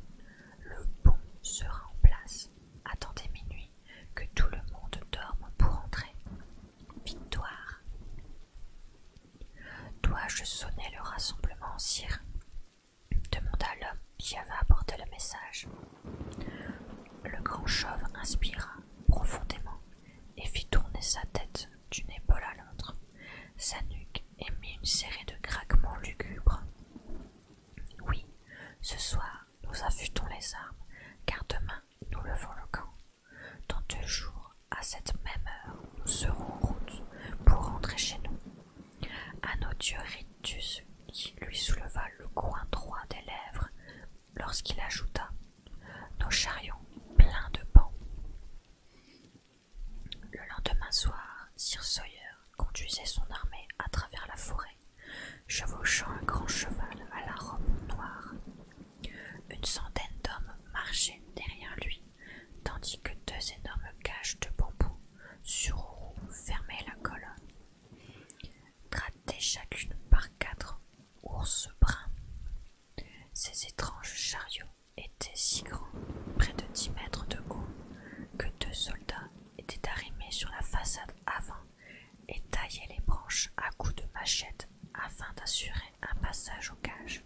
Le pont sera en place. Attendez minuit, que tout le monde dorme pour entrer. Victoire. Dois-je sonner le rassemblement, sire demanda l'homme qui avait apporté le message. Le grand chauve inspira profondément et fit tourner sa tête d'une épaule à l'autre. Sa nuque émit une série de craquements lugubres. Oui, ce soir, nous affûtons les armes, car demain, nous levons le camp. Dans deux jours, à cette même heure, nous serons en route pour rentrer chez nous. À nos Ritus, qui lui souleva le coin droit des lèvres, lorsqu'il ajouta Nos chariots pleins de bancs. Le lendemain soir, Sir Sawyer conduisait son armée à travers la forêt, chevauchant un grand cheval à la robe noire. Une centaine d'hommes marchaient derrière lui, tandis que deux énormes cages de bambou sur roues fermaient la colonne. Grattées chacune par quatre ours bruns. Ces étranges chariots étaient si grands, près de dix mètres de haut, que deux soldats étaient arrimés sur la façade avant et taillaient les branches à coups de machette afin d'assurer un passage au cages.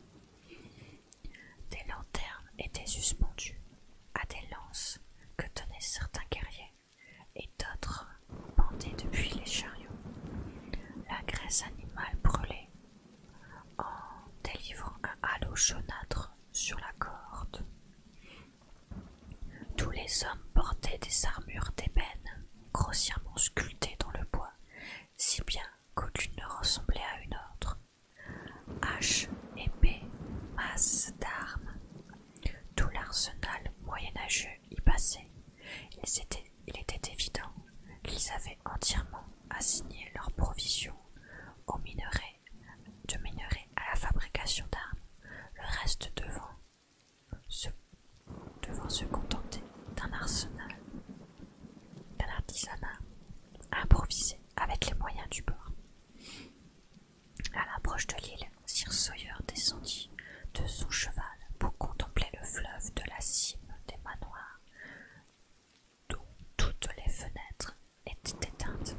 Des lanternes étaient suspendues à des lances que tenaient certains guerriers et d'autres pendaient depuis les chariots. La graisse animale brûlait en délivrant un halo jaunâtre sur la corde. Tous les hommes portaient des armures d'ébène, grossièrement sculptées dans le bois, si bien qu'aucune ne ressemblait à une autre. Haches, épées, masses d'armes, tout l'arsenal moyenâgeux passaient, il était, évident qu'ils avaient entièrement assigné leurs provisions aux minerais, de minerais à la fabrication d'armes, le reste devant se, devant se contenter d'un arsenal, d'un artisanat improvisé avec les moyens du bord. À l'approche de l'île, Sir Sawyer descendit de son cheval pour contempler le fleuve de la cime des manoirs, dont toutes les fenêtres étaient éteintes.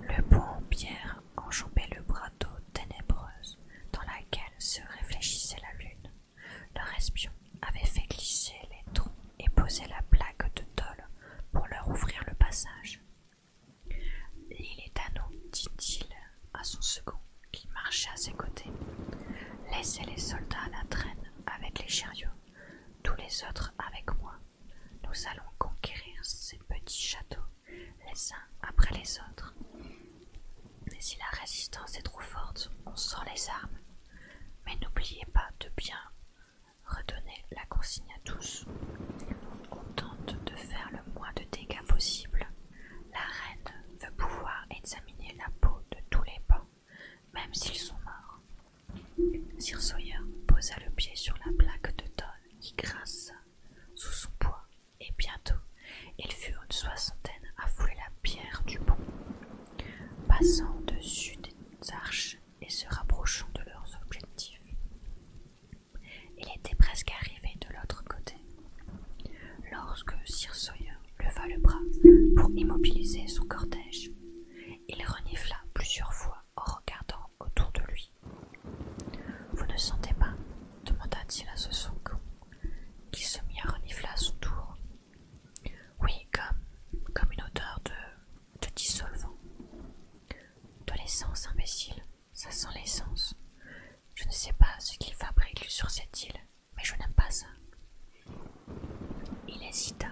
Le pont en pierre enjambait le bras d'eau ténébreuse dans laquelle se réfléchissait la lune. Leur espion avait fait glisser les troncs et posé la plaque de tôle pour leur ouvrir le passage. Il est à nous, dit-il à son second, qui marchait à ses côtés. Laissez les soldats à la traîne avec les chariots, tous les autres avec moi. Nous allons conquérir ces petits châteaux, les uns après les autres. si la résistance est trop forte, on sort les armes. Mais n'oubliez pas de bien redonner la consigne à tous. On tente de faire le moins de dégâts possible la reine veut pouvoir examiner la peau de tous les bons, même s'ils sont morts. Sir Sawyer posa le pied sur la plaque de tôle qui grinça sous son poids, et bientôt ils furent une soixantaine à fouler la pierre du pont, passant au-dessus des arches et se rapprochant de leurs objectifs. Il était presque arrivé de l'autre côté, lorsque Sir Sawyer leva le bras pour immobiliser son cortège. Il renifla plusieurs fois en regardant autour de lui. Vous ne sentez pas demanda-t-il à ce son qui se mit à renifler à son tour. Oui, comme, comme une odeur de, de dissolvant. De l'essence, imbécile, ça sent l'essence. Je ne sais pas ce qu'ils fabrique sur cette île, mais je n'aime pas ça. Il hésita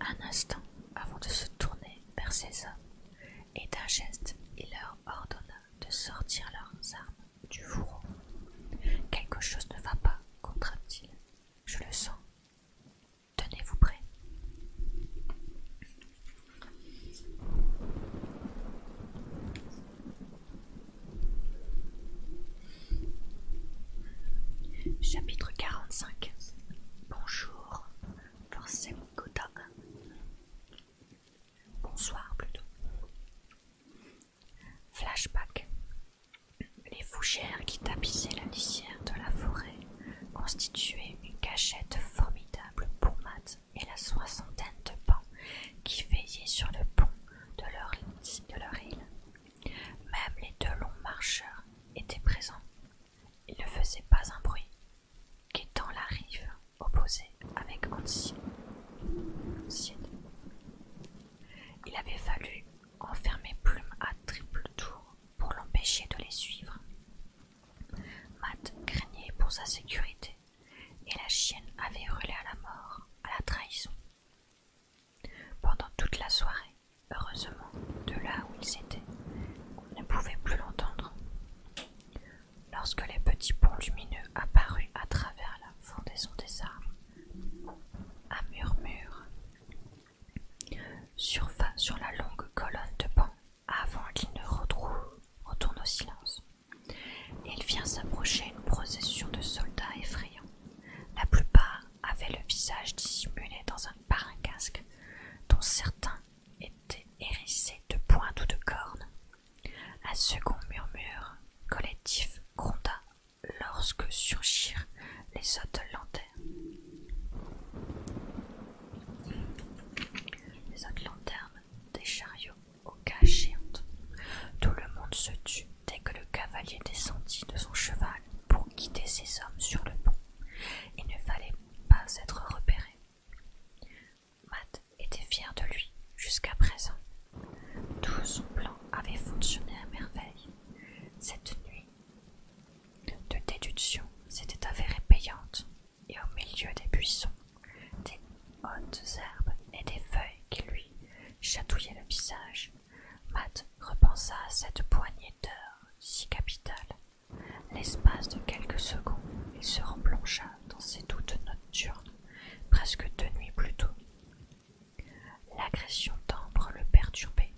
un instant avant de se tourner vers ses hommes, et d'un geste, il leur ordonna de sortir leurs armes du fourreau. Quelque chose ne va pas, t il Je le sens. Tenez-vous prêts. Chapitre 45 Bonjour, mon Gotog. Bonsoir plutôt. Flashback. Les fougères qui tapissaient la lisière de la forêt constituaient une cachette formidable pour Matt et la soixantaine de pans qui veillaient sur le pont de leur, île. Même les deux longs marcheurs étaient présents. Ils ne faisaient pas un bruit, Quittant la rive opposée avec Ancy. Il avait fallu enfermer Plume à triple tour pour l'empêcher de les suivre. Matt craignait pour sa sécurité et la chienne avait hurlé à la mort, à la trahison. Pendant toute la soirée, heureusement, de là où ils étaient, on ne pouvait plus l'entendre. Lorsque les petits ponts lumineux apparurent à travers la fondaison des arbres, un murmure survint sur la longue colonne de bancs avant qu'ils ne retournent au silence. Il vient s'approcher une procession de soldats effrayants. La plupart avaient le visage dissimulé dans un, par casque, dont certains étaient hérissés de pointes ou de cornes. Un second murmure collectif gronda lorsque surgirent les Les autres lanternes des chariots au cages Tout le monde se tut dès que le cavalier descendit de son cheval pour quitter ses hommes sur le pont. Il ne fallait pas être repéré. Matt était fier de lui jusqu'à présent. Tout son plan avait fonctionné à merveille. Cette nuit de déduction s'était avérée payante, et au milieu des buissons, des hautes herbes et des feuilles qui lui chatouillaient le visage, Matt repensa à cette poignée d'heures si capitale. L'espace de quelques secondes, il se replongea dans ses doutes nocturnes, presque deux nuits plus tôt. L'agression d'Ambre le perturbait.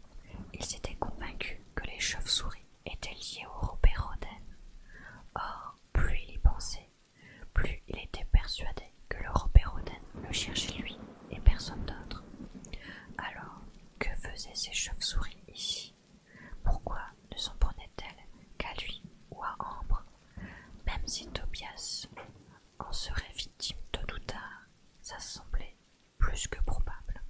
Il s'était convaincu que les chauves-souris étaient liés au Robert Or, plus il y pensait, plus il était persuadé que le Robert le cherchait lui et personne d'autre. Alors, que faisaient ces chauves-souris ici Pourquoi ne s'en prenaient-elles qu'à lui ou à Ambre Même si Tobias en serait victime tôt ou tard, ça semblait plus que probable.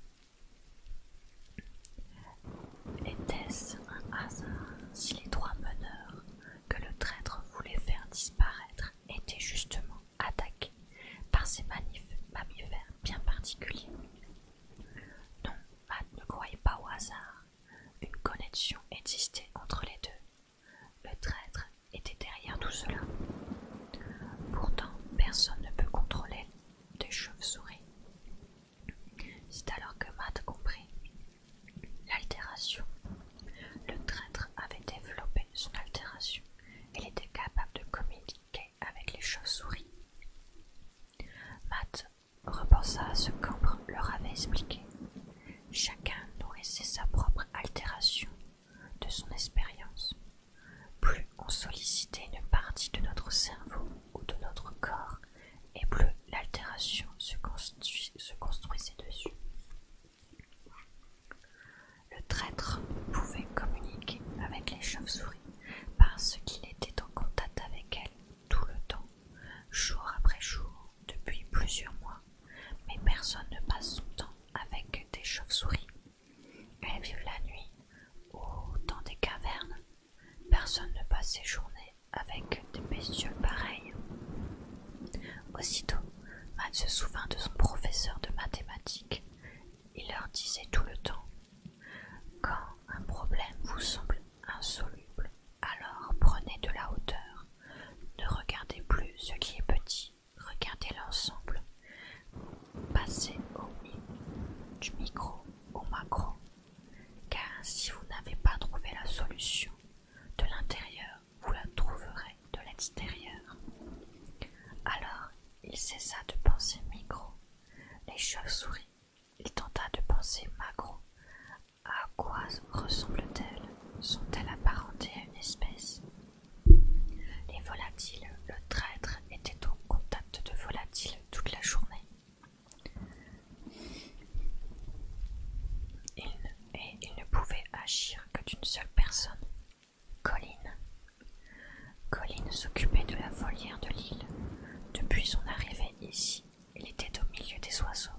Était-ce un hasard si les trois meneurs que le traître voulait faire disparaître était justement attaqué par ces mammifères bien particuliers. Non, Matt ne croyait pas au hasard. Une connexion existait entre les deux. Le traître était derrière tout cela. Pourtant, personne ne peut contrôler des chauves-souris. C'est alors que Matt comprit L'altération. Le traître avait développé son altération. Il était capable de communiquer avec les chauves-souris. Matt repensa à ce qu'Ambre leur avait expliqué. Chacun nourrissait sa propre altération de son expérience. Plus on sollicitait une partie de notre cerveau ou de notre corps, et plus l'altération se constituait se construisait dessus. Le traître pouvait communiquer avec les chauves-souris parce qu'il était en contact avec elles tout le temps, jour après jour, depuis plusieurs mois. Mais personne ne passe son temps avec des chauves-souris. Elles vivent la nuit ou dans des cavernes. Personne ne passe ses journées avec des messieurs pareils Aussitôt, Anne se souvint de son professeur de mathématiques. Il leur disait tout le temps Quand un problème vous semble insoluble, alors prenez de la hauteur. Ne regardez plus ce qui est petit, regardez l'ensemble. Passez au du micro au macro, car si vous n'avez pas trouvé la solution de l'intérieur vous la trouverez de l'extérieur. Alors il cessa de penser micro, les chauves-souris. Il tenta de penser macro. À quoi ressemblent-elles Sont-elles apparentées à une espèce Les volatiles, le traître était au contact de volatiles toute la journée et il ne pouvait agir que d'une seule personne, Colline. Colline s'occupait de la volière de l'île. Depuis son arrivée ici, il était au milieu des oiseaux.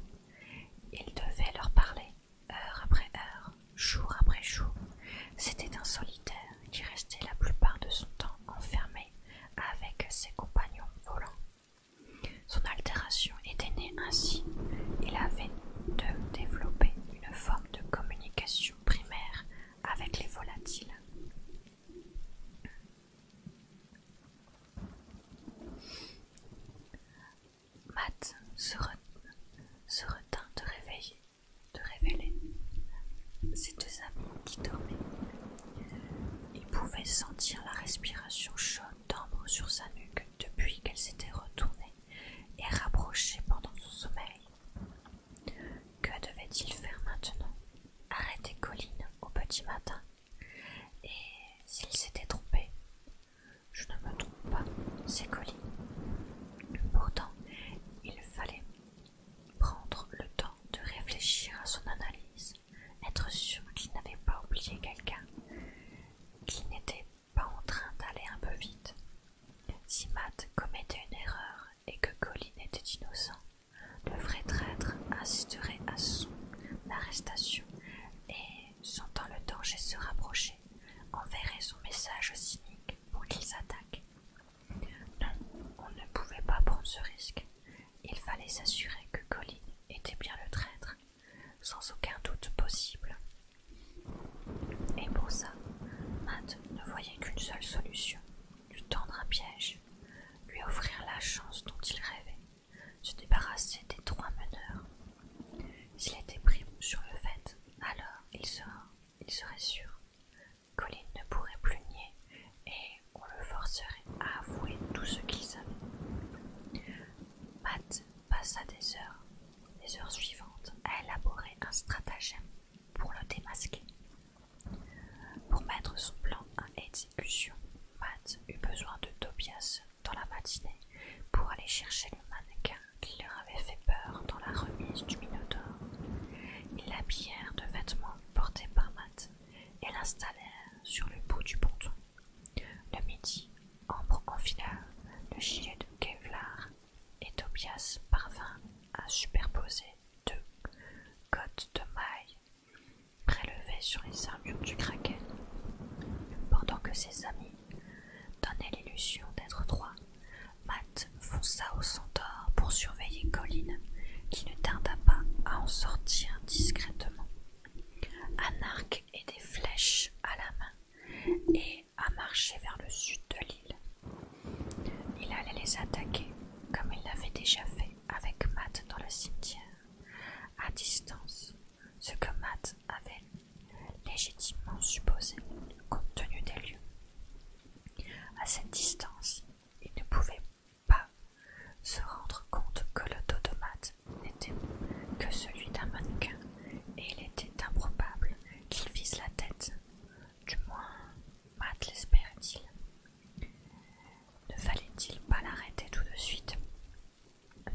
Il devait leur parler, heure après heure, jour après jour. C'était un solitaire qui restait la plupart de son temps enfermé avec ses compagnons volants. Son altération était née ainsi. Il avait de développer une forme de communication primaire avec les volatiles. Matt se, retint de réveiller, de révéler ses deux amis qui dormaient. Il pouvait sentir la respiration chaude d'ambre sur sa nuque depuis qu'elle s'était retournée et rapprochée pendant son sommeil. Que devait-il faire maintenant Arrêter Colline au petit matin Et s'il s'était trompé Je ne me trompe pas, c'est Colline. Pourtant, il fallait prendre le temps de réfléchir à son analyse, être sûr qu'il n'avait pas oublié quelqu'un, qu'il n'était pas pas en train d'aller un peu vite. Si Matt commettait une erreur et que Colin était innocent, le vrai traître assisterait à son arrestation et, sentant le danger se rapprocher, enverrait son message cynique pour qu'il s'attaque. Non, on ne pouvait pas prendre ce risque. Il fallait s'assurer que Colin était bien le traître sans aucun doute possible. Et pour ça, Matt ne voyait qu'une seule solution, lui tendre un piège, lui offrir la chance dont il rêvait, se débarrasser des trois meneurs. S'il était pris sur le fait, alors il, il serait sûr. Colline ne pourrait plus nier et on le forcerait à avouer tout ce qu'il savait. Matt passa des heures, les heures suivantes, à élaborer un stratagème pour le démasquer. Pour mettre son plan en exécution, Matt eut besoin de Tobias dans la matinée pour aller chercher le mannequin qui leur avait fait peur dans la remise du Minotaure. Ils l'habillèrent de vêtements portés par Matt et l'installèrent sur le bout du ponton. Le midi, Ambre enfila le gilet de Kevlar et Tobias parvint à superposer deux côtes de mailles prélevées sur les armures du kraken, pendant que ses amis donnaient l'illusion d'être trois. Matt fonça au centaure pour surveiller Colline, qui ne tarda pas à en sortir discrètement. Un arc et des flèches à la main, et à marcher vers le sud de l'île. Il allait les attaquer comme il l'avait déjà fait avec Matt dans le cimetière, à distance, ce que Matt avait légitimement supposé compte tenu des lieux. À cette distance, il ne pouvait pas se rendre compte que le dos de n'était que celui d'un mannequin, et il était improbable qu'il vise la tête. Du moins, Matt l'espérait-il. Ne fallait-il pas l'arrêter tout de suite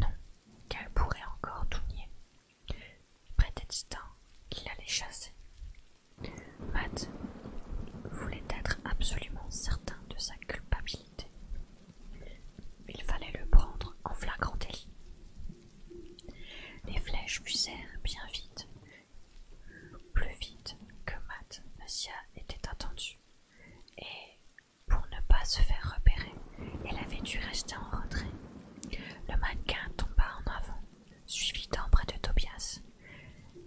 Non, qu'elle pourrait encore tout nier. Prétextant qu'il allait chasser. Matt voulait être absolument certain de sa culpabilité. Il fallait le prendre en flagrant délit. Les flèches fusèrent bien vite, plus vite que Matt Messia était attendu, et pour ne pas se faire repérer, elle avait dû rester en retrait. Le mannequin tomba en avant, suivi d'un et de Tobias,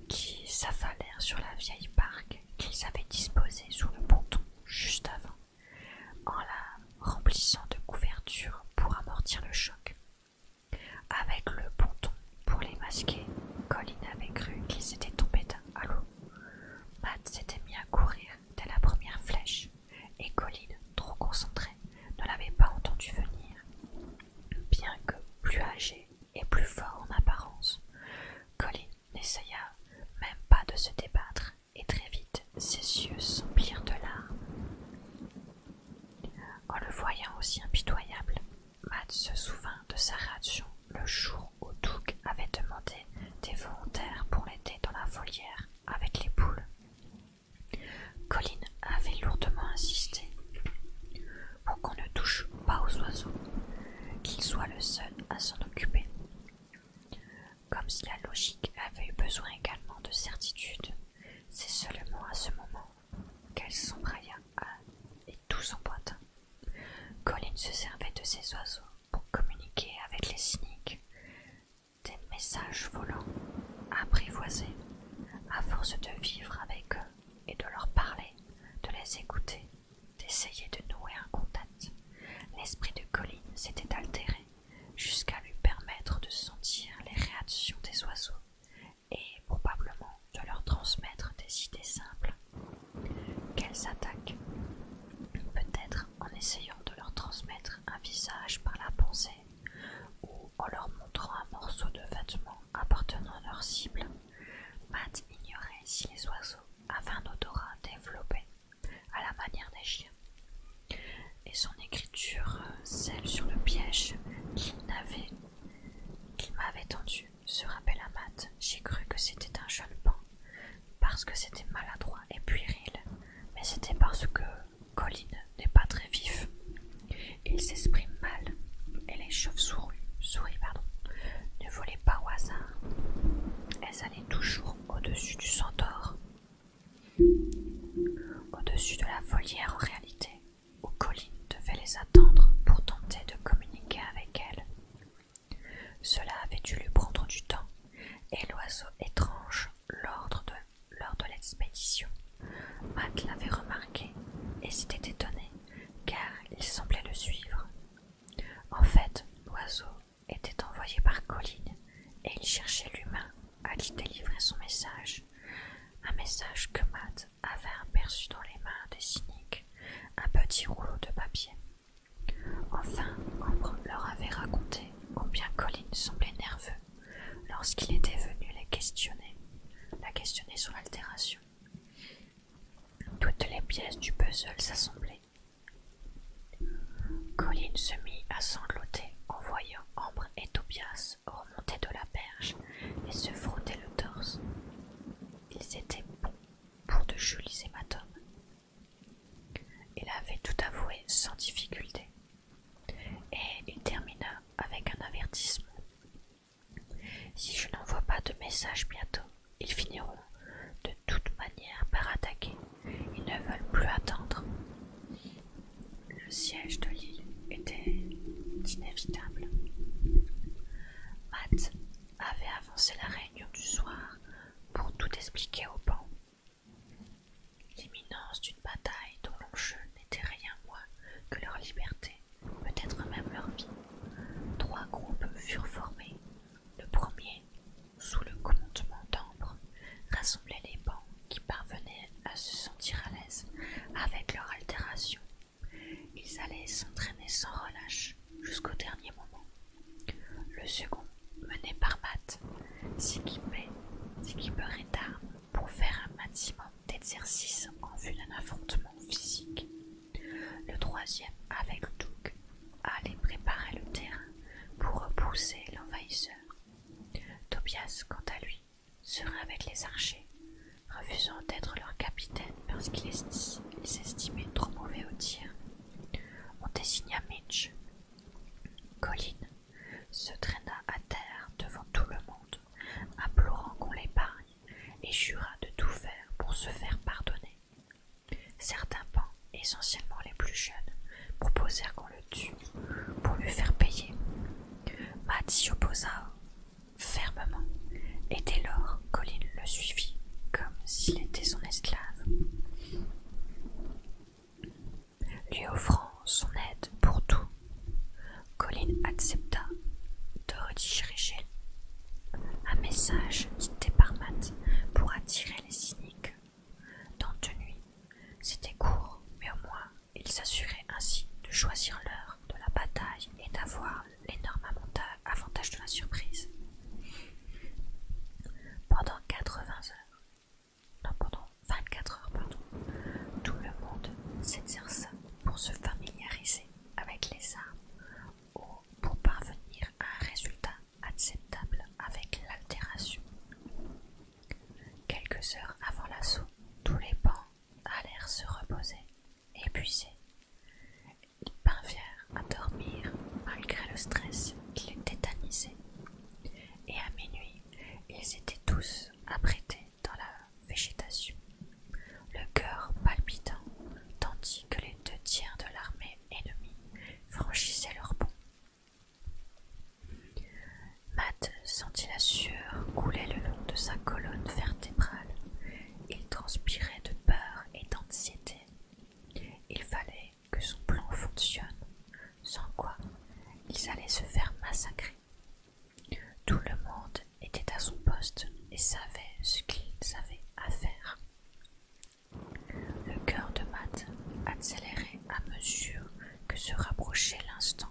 qui s'affalèrent sur la vieille barque qu'ils avaient disposée sous le ponton juste avant en la remplissant de couverture pour amortir le choc. Avec le ponton pour les masquer, Colin avait cru qu'ils étaient tombés à l'eau. Matt s'était mis à courir dès la première flèche, et Colin, trop concentrée, ne l'avait pas entendu venir. Bien que plus âgé et plus fort en apparence, Colin n'essaya même pas de se débattre et très vite ses yeux s'emplirent de larmes. En le voyant aussi impitoyable, Matt se souvint de sa réaction le jour où Doug avait demandé des volontaires pour l'été dans la volière avec les poules. Colin avait lourdement insisté pour qu'on ne touche pas aux oiseaux, qu'il soit le seul à s'en occuper comme si la logique avait eu besoin également de certitude. C'est seulement à ce moment qu'elle s'embraya et tout s'emboîta. Colline se servait de ces oiseaux pour communiquer avec les cyniques. Des messages volants, apprivoisés, à force de vivre avec eux et de leur parler, de les écouter, d'essayer de nouer un contact. L'esprit de Colline s'était altéré jusqu'à lui permettre de sentir les réactions des oiseaux et probablement de leur transmettre des idées simples qu'elles attaquent, peut-être en essayant de leur transmettre un visage par la pensée ou en leur montrant un morceau de vêtement appartenant à leur cible. Matt ignorait si les oiseaux avaient un odorat développé à la manière des chiens et son écriture, euh, celle sur le piège qu'il m'avait tendu, se rappelle à Matt. J'ai cru que c'était un jeune pan, parce que c'était maladroit et puéril, mais c'était parce que Colin n'est pas très vif. Il s'exprime mal, et les chauves-souris souris, pardon, ne volaient pas au hasard. Elles allaient toujours au-dessus du centaure, au-dessus de la volière en réalité, où Colline devait les attendre pour tenter de communiquer avec elle. Cela avait dû lui prendre du temps, et l'oiseau étrange, l'ordre de, lors de l'expédition, Matt l'avait remarqué et s'était étonné, car il semblait le suivre. En fait, l'oiseau était envoyé par Colline et il cherchait l'humain à lui délivrer son message. Un message que Matt avait aperçu dans les mains des cyniques, un petit rouleau de papier. Enfin, Ambre leur avait raconté combien Colline semblait nerveux lorsqu'il était venu les questionner, la questionner sur l'altération. Toutes les pièces du puzzle s'assemblaient. Colline se mit à sangloter en voyant Ambre et Tobias remonter de la berge et se frotter le torse. Ils étaient bons pour de jolis hématomes. Il avait tout avoué sans difficulté. Et il termina avec un avertissement. Si je n'envoie pas de message bientôt, ils finiront de toute manière par attaquer. Ils ne veulent plus attendre. Le siège de l'île était inévitable. Matt avait avancé la réunion du soir pour tout expliquer aux bancs. L'imminence d'une bataille dont l'enjeu n'était rien moins que leur liberté, peut-être même leur vie. Trois groupes furent formés. Le premier, sous le commandement d'Ambre, rassemblait les bancs qui parvenaient à se sentir à l'aise avec leur altération. Ils allaient s'entraîner sans relâche jusqu'au dernier moment. Le second, mené par Matt, s'équipait d'armes pour faire un maximum d'exercices en vue d'un affrontement physique. Le troisième, avec Doug, allait préparer le terrain pour repousser l'envahisseur. Tobias, quant à lui, serait avec les archers, refusant d'être leur capitaine parce qu'il s'estimait trop mauvais au tir. On désigna Mitch. Colin se traîna à terre devant tout le monde, implorant qu'on l'épargne, et jura de tout faire pour se faire pardonner. Certains pans, essentiellement les plus jeunes, proposèrent qu'on le pour lui faire payer. Matt s'y opposa fermement, et dès lors Colin le suivit comme s'il était son esclave, lui offrant son aide pour tout. Colin accepta de rediriger un message quitté par Matt pour attirer les cyniques dans de nuit, c'était court, mais au moins ils s'assuraient ainsi de choisir l'heure de la bataille et d'avoir l'énorme avantage de la surprise. Pendant 80 heures, pendant 24 heures, tout le monde s'exerça pour se familiariser avec les armes ou pour parvenir à un résultat acceptable avec l'altération. Quelques heures avant l'assaut, tous les pans allèrent se reposer, épuisés. Ils parvinrent à dormir malgré le stress qui les tétanisait. Et à minuit, ils étaient tous apprêtés dans la végétation, le cœur palpitant, tandis que les deux tiers de l'armée ennemie franchissaient leur pont. Matt sentit la sueur couler le long de sa colonne vertébrale. Il transpirait de peur et d'anxiété. Il fallait que son plan fonctionne, sans quoi ils allaient se faire massacrer. Tout le monde était à son poste et savait ce qu'ils avaient à faire. Le cœur de Matt accélérait à mesure que se rapprochait l'instant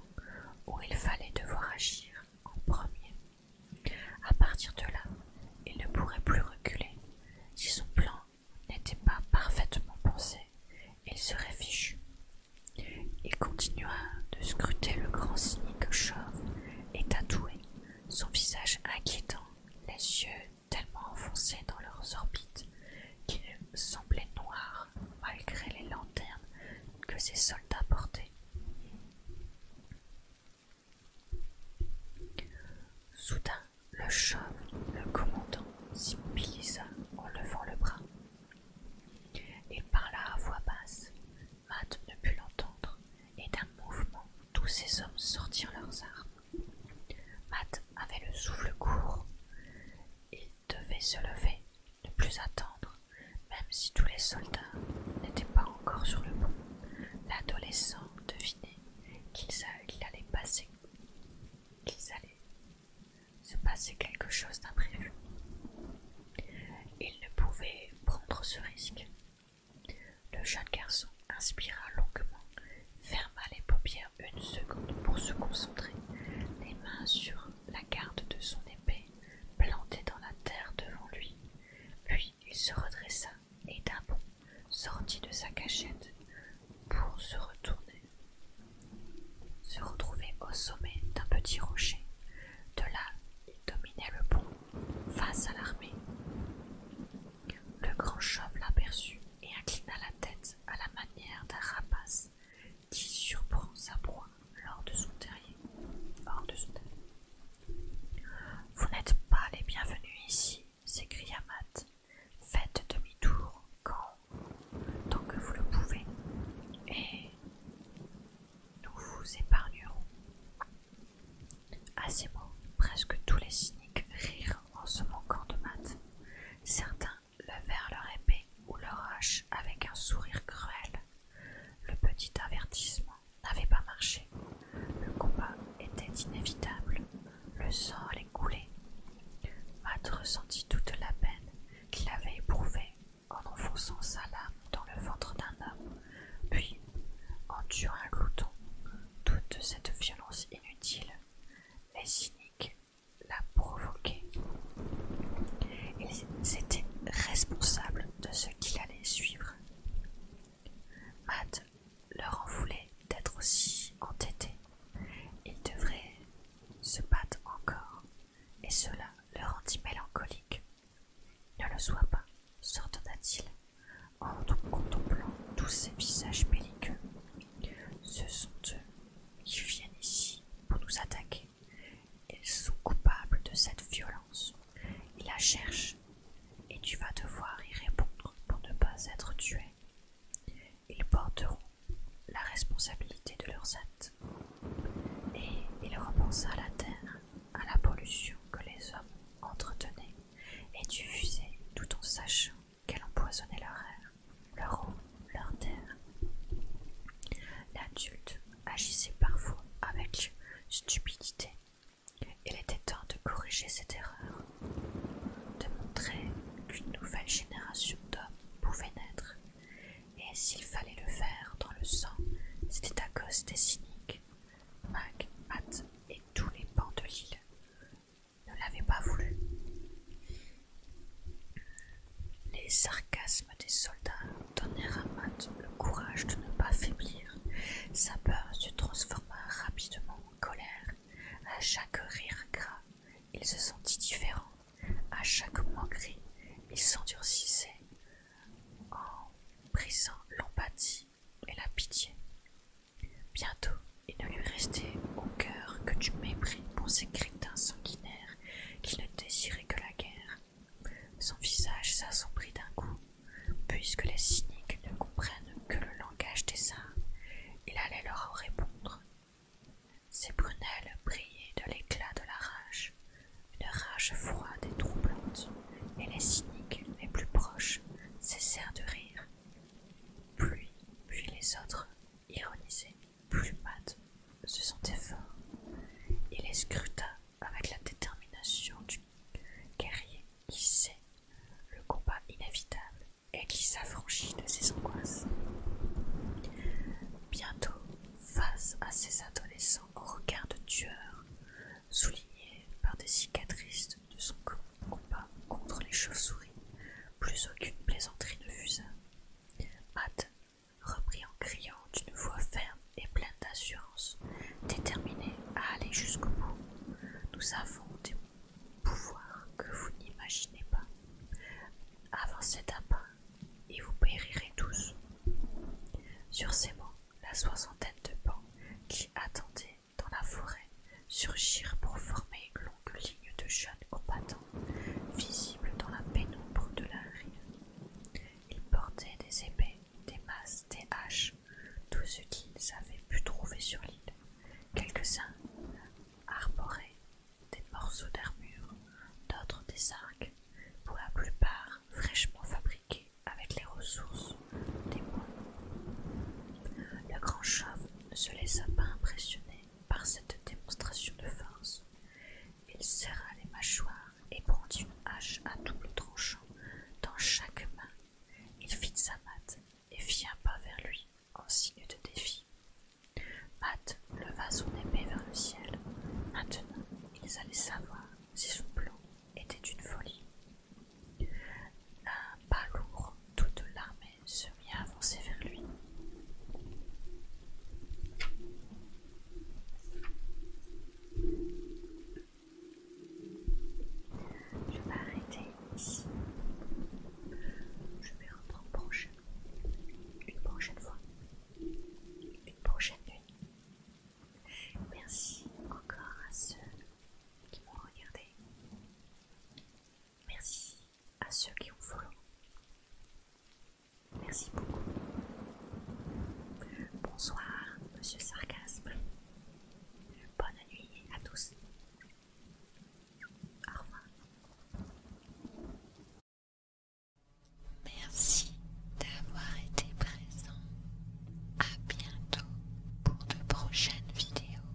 où il fallait devoir agir en premier. À partir de là, il ne pourrait plus reculer. Si son plan n'était pas parfaitement pensé, il serait fichu. Il continua de scruter le grand cynique chauve et tatoué, son visage inquiétant, les yeux tellement enfoncés dans leurs orbites qui semblait noir malgré les lanternes que ses soldats portaient. Soudain, le chef, le commandant, s'immobilisa en levant le bras. Il parla à voix basse. Matt ne put l'entendre, et d'un mouvement, tous ces hommes sortirent leurs armes. Matt avait le souffle court. et devait se lever, ne plus attendre, même si tous les soldats n'étaient pas encore sur le pont. L'adolescent devinait qu'il allait passer, qu'ils allaient se passer quelque chose d'imprévu. Il ne pouvait prendre ce risque. Le jeune garçon inspira longuement, ferma les paupières une seconde pour se concentrer, les mains sur la garde de son épée plantée dans la terre devant lui. Puis il se redressa et d'un bond sortit de sa cachette pour se retourner, se retrouver au sommet d'un petit rocher. De là, il dominait le pont face à l'armée. Le grand chauve l'aperçut et inclina la tête à la manière d'un rapace qui surprend sa proie lors de son terrier. Vous n'êtes pas les bienvenus ici, s'écria Matt. Faites demi-tour quand, tant que vous le pouvez, et nous vous épargnerons. À ces mots, presque tous les cyniques rirent en se moquant de Matt. Certains levèrent leur épée ou leur hache avec un sourire cruel. Le petit avertissement n'avait pas marché. Le combat était inévitable. Le sang allait couler. Matt ressentit toute la peine qu'il avait éprouvée en enfonçant sa lame dans le ventre d'un homme, puis en tuant un glouton. Toute cette violence inutile, les cyniques la provoquer. Ils étaient responsables de ce qu'il allait suivre. Matt leur en voulait d'être aussi entêté. Ils devraient se battre encore, et cela le rendit mélancolique. Ne le sois pas, s'ordonna-t-il, en contemplant tous ces visages belliqueux. Ce sont eux qui viennent ici pour nous attaquer. Ils sont coupables de cette violence. Ils la cherchent et tu vas devoir y répondre pour ne pas être tué. Ils porteront la responsabilité de leurs actes. Et il repensa la terre, à la pollution que les hommes entretenaient et diffusaient tout en sachant qu'elle empoisonnait leur air leur eau, leur terre. L'adulte agissait parfois avec stupidité. Il était temps de corriger cette erreur, de montrer qu'une nouvelle génération d'hommes pouvait naître, et s'il fallait le faire dans le sang, c'était à cause des cyniques. Mac, Matt et tous les bancs de l'île ne l'avaient pas voulu. Les sarcasmes des soldats donnèrent à Matt le courage de ne pas faiblir. Sa peur se transforma rapidement en colère. À chaque rire gras, il se sentit différent. À chaque moquerie, il s'endurcissait en brisant l'empathie et la pitié. Bientôt, il ne lui restait au cœur que du mépris pour ces crétins sanguinaires qui ne désirait que la guerre. Son visage s'assombrit d'un coup, puisque les cyniques ne comprennent que le langage des saints. il allait leur répondre. Ses prunelles brillaient de l'éclat de la rage, une rage froide et troublante, et les cyniques les plus proches cessèrent de rire. puis les autres ironisaient plus Matt se sentait fort. Il les scruta avec la détermination du guerrier qui sait le combat inévitable et qui s'affranchit de ses angoisses. Bientôt, face à ces adolescents au regard de tueur, souligné par des cicatrices de son combat contre les chauves-souris, plus aucune plaisanterie ne fusa. Matt Repris en criant d'une voix ferme et pleine d'assurance, déterminée à aller jusqu'au bout. Nous avons des pouvoirs que vous n'imaginez pas. Avancez d'un pas et vous périrez tous. Sur ces mots, la soixantaine de bancs qui attendaient dans la forêt surgirent pour former une longue ligne de jeunes combattants visible dans la pénombre de la rive Ils portaient des épées, des masses, des haches, tout ce qu'ils avaient pu trouver sur l'île. Quelques-uns arboraient des morceaux d'armure, d'autres des arcs, pour la plupart fraîchement fabriqués avec les ressources des moines. Le grand chauve ne se laissa pas impressionner par cette démonstration de force. Il serra les mâchoires et prend une hache à double tranchant dans chaque main. Il fit sa mate et fit un pas vers lui en signe de défi. Matt leva son épée vers le ciel. Maintenant, ils allaient savoir si son plan était une folie. Un pas lourd, toute l'armée se mit à avancer vers lui. Je vais arrêter ici. Je vais reprendre prochainement. Une prochaine fois. Une prochaine nuit. Merci encore à ceux qui m'ont regardé. Merci à ceux qui ont follow. Merci beaucoup. Bonsoir, monsieur Sarcasme. Bonne nuit à tous. Au revoir. Merci d'avoir été présent. À bientôt pour de prochaines vidéos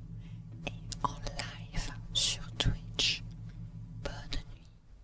et en live sur Twitch. Bonne nuit.